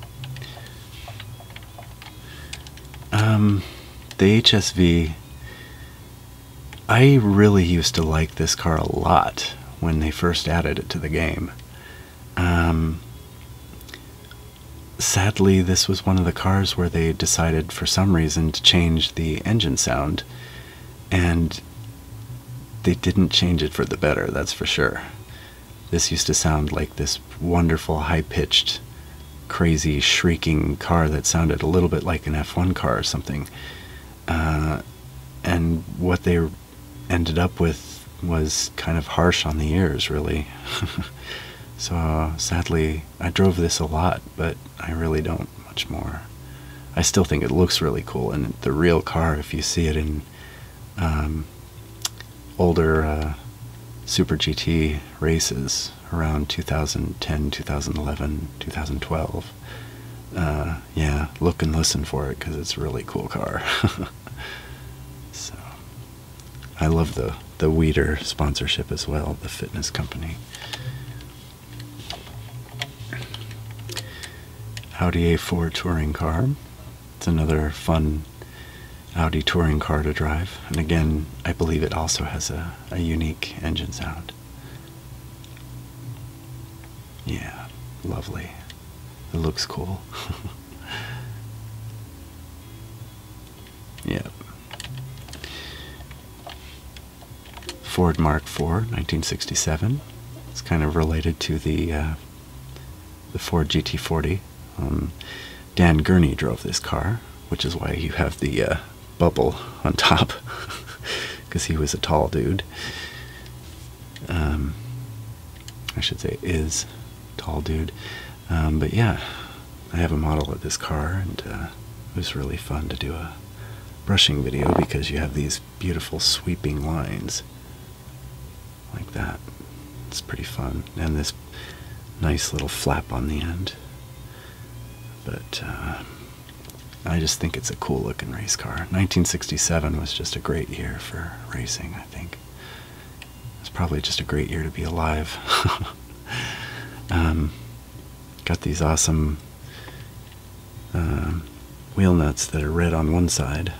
Um, the HSV. I really used to like this car a lot when they first added it to the game. Um, sadly, this was one of the cars where they decided for some reason to change the engine sound, and they didn't change it for the better, that's for sure. This used to sound like this wonderful, high pitched, crazy, shrieking car that sounded a little bit like an F1 car or something. Uh, and what they ended up with was kind of harsh on the ears, really. so sadly, I drove this a lot, but I really don't much more. I still think it looks really cool, and the real car, if you see it in um, older uh, Super GT races around 2010, 2011, 2012. Uh, yeah, look and listen for it because it's a really cool car. so, I love the the Weeder sponsorship as well, the fitness company. Audi A4 touring car. It's another fun Audi touring car to drive, and again, I believe it also has a, unique engine sound. Yeah, lovely. It looks cool. yep. Ford Mark IV, 1967. It's kind of related to the uh, the Ford GT40. Dan Gurney drove this car, which is why you have the uh, bubble on top, because he was a tall dude. Um, I should say is tall dude. Um, but yeah, I have a model of this car, and uh, it was really fun to do a brushing video because you have these beautiful sweeping lines like that. It's pretty fun. And this nice little flap on the end. But uh, I just think it's a cool looking race car. 1967 was just a great year for racing, I think. It's probably just a great year to be alive. Um, got these awesome uh, wheel nuts that are red on one side,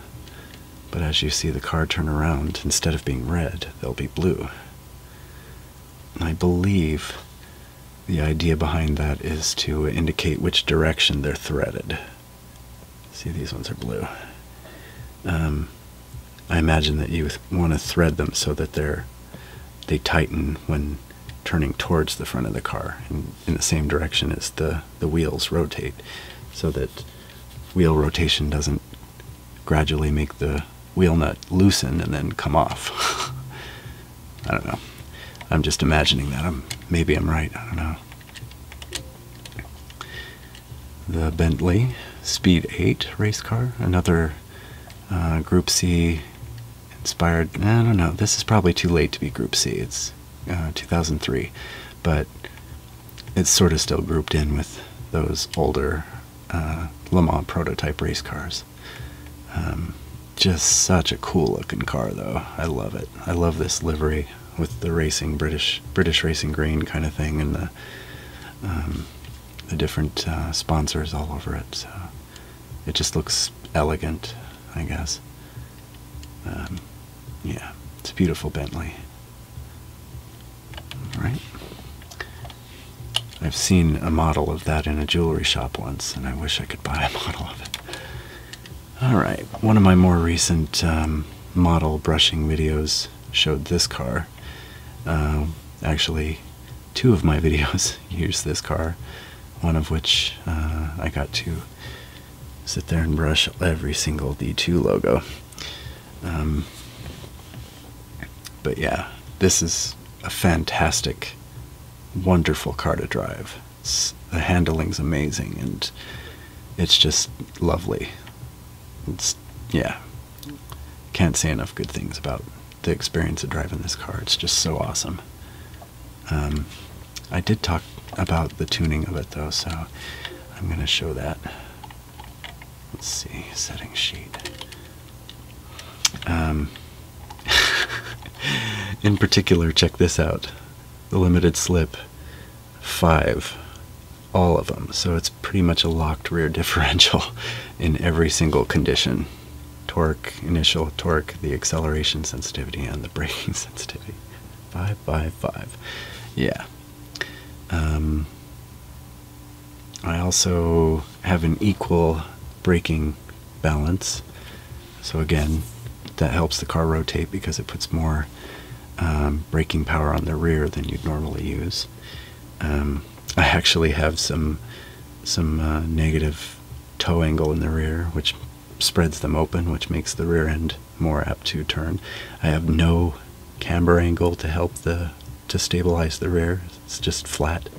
but as you see the car turn around, instead of being red, they'll be blue. And I believe the idea behind that is to indicate which direction they're threaded. See, these ones are blue. Um, I imagine that you want to thread them so that they're they tighten when turning towards the front of the car in the same direction as the, the wheels rotate so that wheel rotation doesn't gradually make the wheel nut loosen and then come off. I don't know. I'm just imagining that. I'm, maybe I'm right. I don't know. The Bentley Speed 8 race car, another uh, Group C inspired. I don't know. This is probably too late to be Group C. It's uh, 2003, but it's sort of still grouped in with those older uh, Le Mans prototype race cars. Um, just such a cool looking car, though. I love it. I love this livery with the racing British British racing green kind of thing, and the um, the different uh, sponsors all over it. it just looks elegant I guess. Um, yeah, it's a beautiful Bentley. All right? I've seen a model of that in a jewelry shop once, and I wish I could buy a model of it. Alright, one of my more recent um, model brushing videos showed this car. Uh, actually, two of my videos use this car, one of which uh, I got to sit there and brush every single D2 logo. Um, but yeah, this is a fantastic, wonderful car to drive. the handling's amazing and it's just lovely. It's, yeah, can't say enough good things about the experience of driving this car. It's just so awesome. Um, I did talk about the tuning of it though, so I'm going to show that. Let's see, setting sheet. Um, in particular, check this out the limited slip, five, all of them. So it's pretty much a locked rear differential in every single condition torque, initial torque, the acceleration sensitivity, and the braking sensitivity. Five by five. Yeah. Um, I also have an equal braking balance. So again, that helps the car rotate because it puts more um, braking power on the rear than you'd normally use. Um, I actually have some some uh, negative toe angle in the rear, which spreads them open, which makes the rear end more apt to turn. I have no camber angle to help the to stabilize the rear. It's just flat.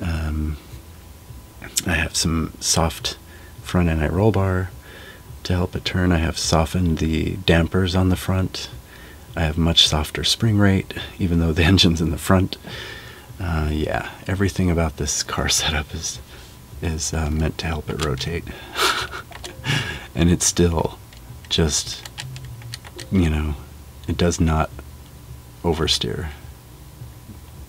Um, I have some soft front anti roll bar to help it turn. I have softened the dampers on the front. I have much softer spring rate, even though the engine's in the front. Uh, yeah, everything about this car setup is is uh, meant to help it rotate. and it's still just, you know, it does not oversteer.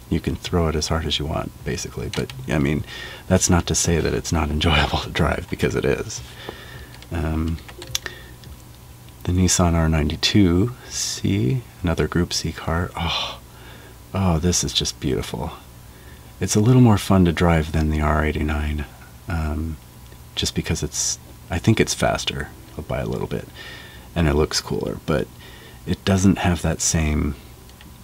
You can throw it as hard as you want, basically. But, I mean, that's not to say that it's not enjoyable to drive, because it is. Um, the Nissan R92C, another Group C car. Oh, oh, this is just beautiful. It's a little more fun to drive than the R89, um, just because it's, I think it's faster by a little bit, and it looks cooler, but it doesn't have that same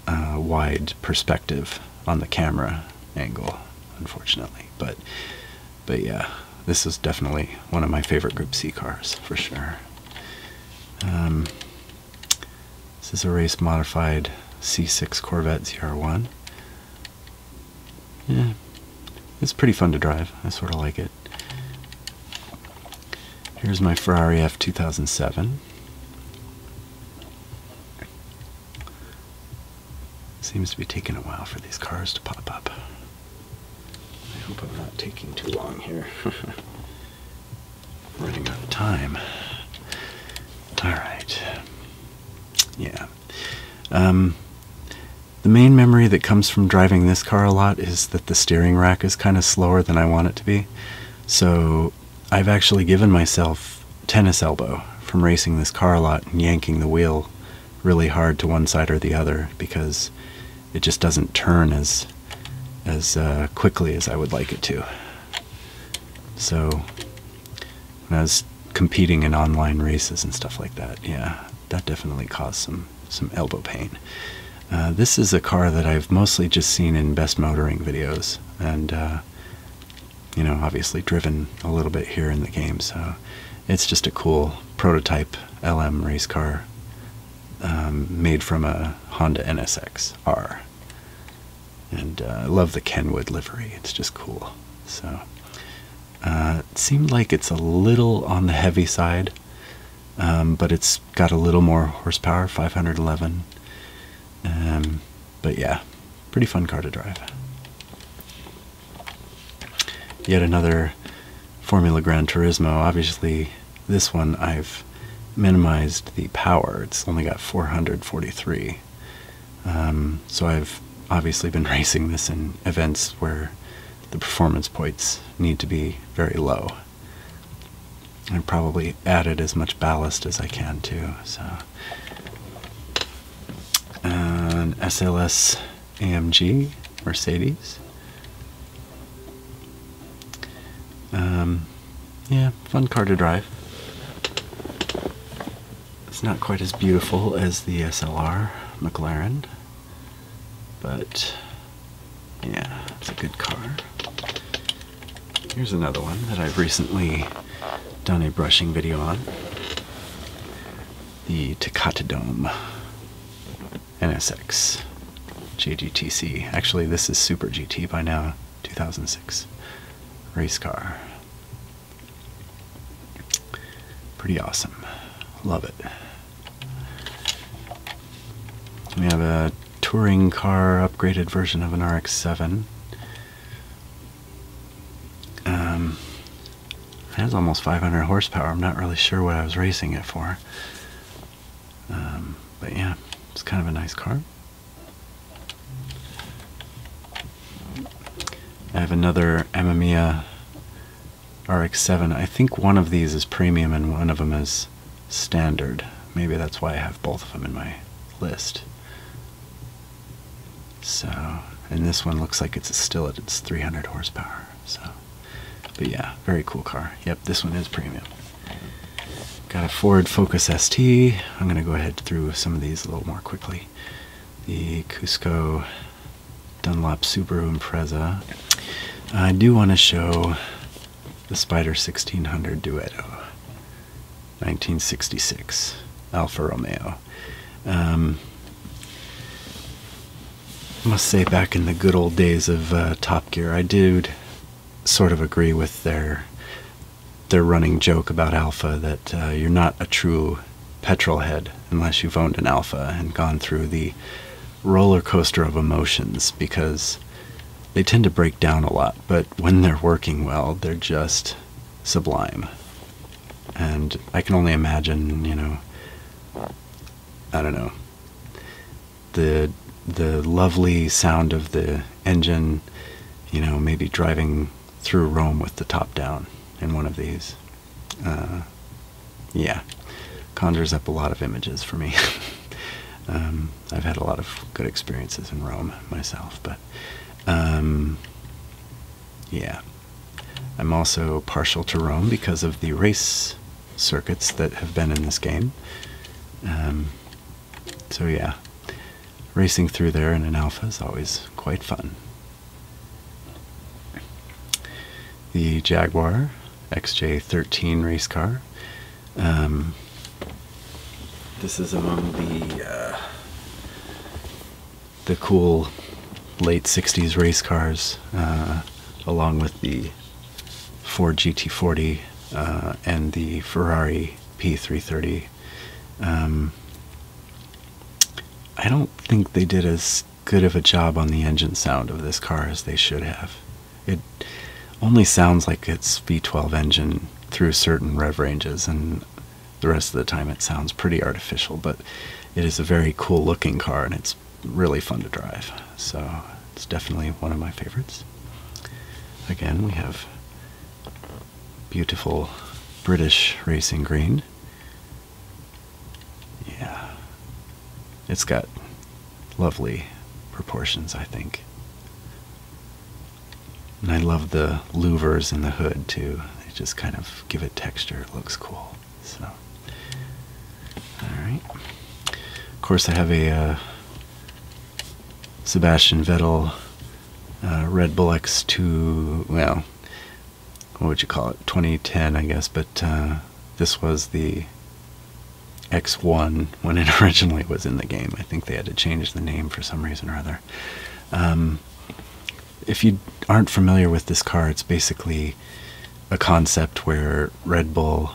uh, wide perspective on the camera angle, unfortunately. But, but yeah, this is definitely one of my favorite Group C cars, for sure. Um, this is a race modified C6 Corvette ZR1. Yeah, it's pretty fun to drive. I sort of like it. Here's my Ferrari F2007. Seems to be taking a while for these cars to pop up. I hope I'm not taking too long here. running out of time. All right. Yeah. Um, the main memory that comes from driving this car a lot is that the steering rack is kind of slower than I want it to be. So I've actually given myself tennis elbow from racing this car a lot and yanking the wheel really hard to one side or the other because it just doesn't turn as as uh, quickly as I would like it to. So I was competing in online races and stuff like that, yeah, that definitely caused some some elbow pain. Uh, this is a car that I've mostly just seen in best motoring videos, and uh, you know, obviously driven a little bit here in the game. So it's just a cool prototype LM race car um, made from a Honda NSX R. And uh, I love the Kenwood livery, it's just cool. So, uh, it seemed like it's a little on the heavy side, um, but it's got a little more horsepower 511. Um, but yeah, pretty fun car to drive. Yet another Formula Grand Turismo. Obviously, this one I've minimized the power. It's only got 443. Um, so I've obviously been racing this in events where the performance points need to be very low. I have probably added as much ballast as I can too. So an SLS AMG Mercedes. Um, yeah, fun car to drive. It's not quite as beautiful as the SLR McLaren, but yeah, it's a good car. Here's another one that I've recently done a brushing video on. The Takata Dome NSX JGTC. Actually, this is Super GT by now. 2006 race car. Pretty awesome. Love it. We have a touring car upgraded version of an RX-7. Um, has almost 500 horsepower. I'm not really sure what I was racing it for. Um, but yeah, it's kind of a nice car. I have another Amamiya RX-7. I think one of these is premium and one of them is standard. Maybe that's why I have both of them in my list. So, and this one looks like it's still at its 300 horsepower. So, but yeah, very cool car. Yep, this one is premium. Got a Ford Focus ST. I'm going to go ahead through some of these a little more quickly. The Cusco Dunlop Subaru Impreza. I do want to show the Spider 1600 Duetto, 1966, Alfa Romeo. Um, I must say, back in the good old days of uh, Top Gear, I did sort of agree with their their running joke about alpha that uh, you're not a true petrol head unless you've owned an alpha and gone through the roller coaster of emotions because they tend to break down a lot, but when they're working well, they're just sublime. And I can only imagine, you know, I don't know, the the lovely sound of the engine, you know, maybe driving through Rome with the top down in one of these. Uh, yeah, conjures up a lot of images for me. Um, I've had a lot of good experiences in Rome myself, but um, yeah. I'm also partial to Rome because of the race circuits that have been in this game. Um, so yeah, racing through there in an alpha is always quite fun. The Jaguar XJ13 race car. Um, this is among the uh, the cool late 60s race cars, uh, along with the Ford GT40 uh, and the Ferrari P330. Um, I don't think they did as good of a job on the engine sound of this car as they should have. It only sounds like it's V12 engine through certain rev ranges, and the rest of the time it sounds pretty artificial, but it is a very cool looking car and it's really fun to drive. So it's definitely one of my favorites. Again, we have beautiful British racing green. Yeah. It's got lovely proportions, I think. And I love the louvers in the hood too. They just kind of give it texture. It looks cool. So, all right. Of course, I have a uh, Sebastian Vettel, uh, Red Bull X2, well, what would you call it? 2010, I guess, but uh, this was the X1 when it originally was in the game. I think they had to change the name for some reason or other. Um, if you aren't familiar with this car, it's basically a concept where Red Bull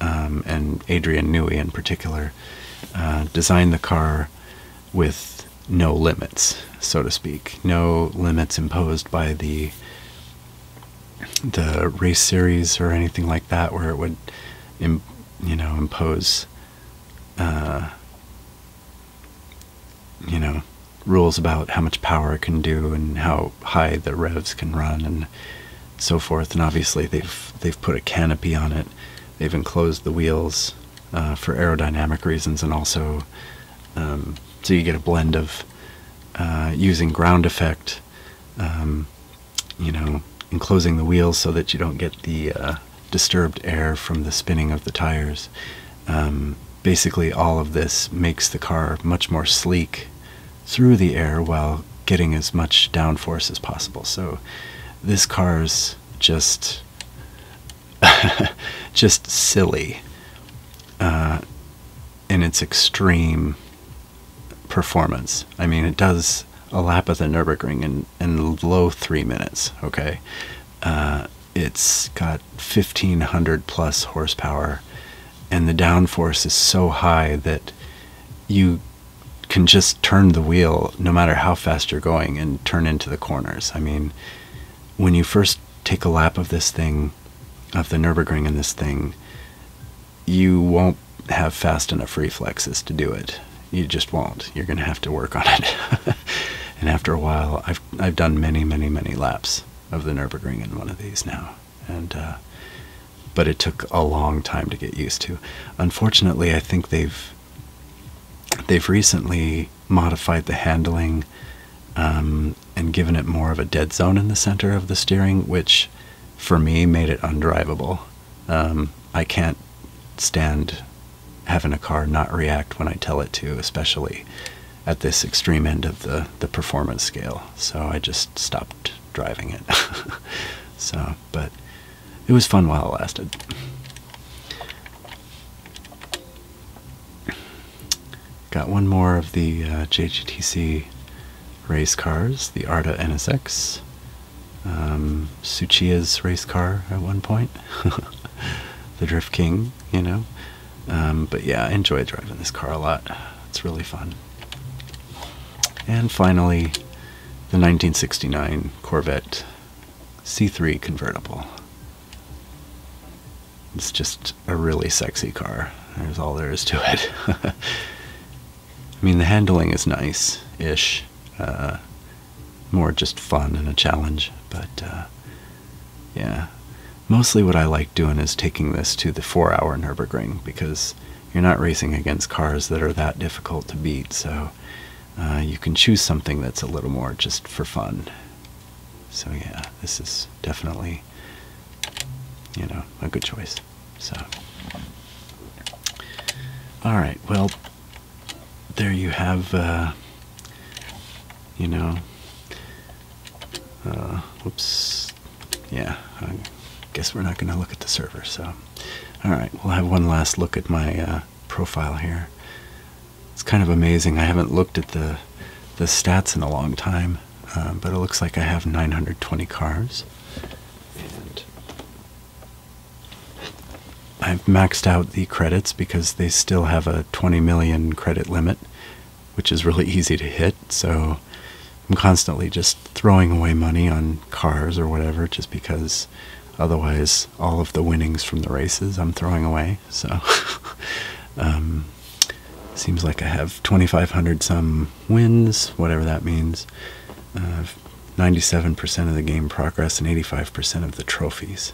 um, and Adrian Newey in particular, uh, designed the car with no limits, so to speak, no limits imposed by the the race series or anything like that, where it would, you know, impose, uh, you know, rules about how much power it can do and how high the revs can run and so forth. And obviously, they've they've put a canopy on it They've enclosed the wheels uh, for aerodynamic reasons, and also um, so you get a blend of uh, using ground effect, um, you know, enclosing the wheels so that you don't get the uh, disturbed air from the spinning of the tires. Um, basically, all of this makes the car much more sleek through the air while getting as much downforce as possible. So this car's just just silly uh, in its extreme performance. I mean, it does a lap of the Nürburgring in, in low three minutes, okay? Uh, it's got 1500 plus horsepower, and the downforce is so high that you can just turn the wheel no matter how fast you're going and turn into the corners. I mean, when you first take a lap of this thing, of the Nürburgring in this thing, you won't have fast enough reflexes to do it. You just won't. You're going to have to work on it. and after a while, I've I've done many, many, many laps of the Nürburgring in one of these now, and uh, but it took a long time to get used to. Unfortunately, I think they've they've recently modified the handling um, and given it more of a dead zone in the center of the steering, which for me made it undrivable. Um, I can't stand having a car not react when I tell it to, especially at this extreme end of the, the performance scale. So I just stopped driving it. so, but it was fun while it lasted. Got one more of the uh, JGTC race cars, the Arda NSX. Um, race car at one point. the Drift King, you know. Um, but yeah, I enjoy driving this car a lot. It's really fun. And finally, the 1969 Corvette C3 convertible. It's just a really sexy car. There's all there is to it. I mean, the handling is nice ish. Uh, more just fun and a challenge. But uh, yeah, mostly what I like doing is taking this to the four hour Nürburgring because you're not racing against cars that are that difficult to beat. So uh, you can choose something that's a little more just for fun. So yeah, this is definitely, you know, a good choice. So, all right, well, there you have, uh, you know, uh, whoops, yeah, I guess we're not going to look at the server, so all right, we'll have one last look at my uh, profile here. It's kind of amazing. I haven't looked at the the stats in a long time, um, but it looks like I have 920 cars, and I've maxed out the credits because they still have a 20 million credit limit, which is really easy to hit. So I'm constantly just throwing away money on cars or whatever, just because otherwise all of the winnings from the races I'm throwing away. So, um, seems like I have 2,500 some wins, whatever that means. 97% uh, of the game progress and 85% of the trophies.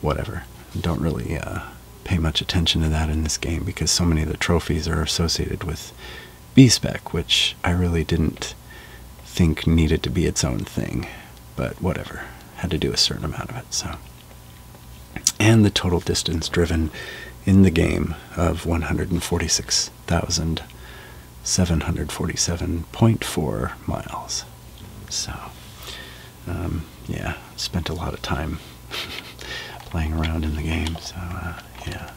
Whatever. Don't really uh, pay much attention to that in this game because so many of the trophies are associated with B spec, which I really didn't think needed to be its own thing, but whatever. Had to do a certain amount of it, so. And the total distance driven in the game of 146,747.4 miles. So, um, yeah, spent a lot of time playing around in the game, so, uh, yeah.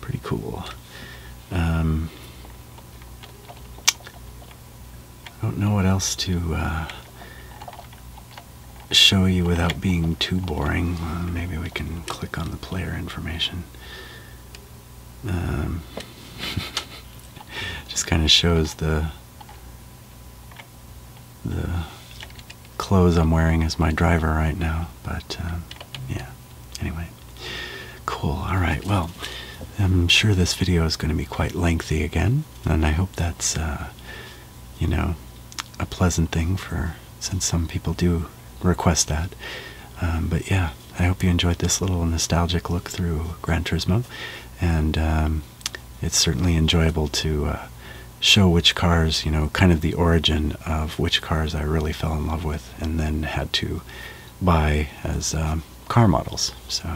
Pretty cool. Um, I don't know what else to uh, show you without being too boring. Uh, maybe we can click on the player information. Um, just kind of shows the the clothes I'm wearing as my driver right now, but uh, yeah. Anyway, cool. All right. Well, I'm sure this video is going to be quite lengthy again, and I hope that's, uh, you know, a pleasant thing for since some people do request that. Um, but yeah, I hope you enjoyed this little nostalgic look through Gran Turismo, and um, it's certainly enjoyable to. Uh, show which cars, you know, kind of the origin of which cars I really fell in love with and then had to buy as um, car models. So,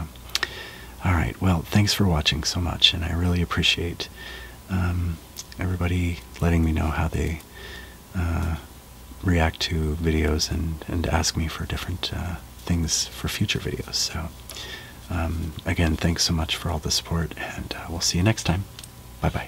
all right. Well, thanks for watching so much, and I really appreciate um, everybody letting me know how they uh, react to videos and and ask me for different uh, things for future videos. So, um, again, thanks so much for all the support, and uh, we'll see you next time. Bye bye.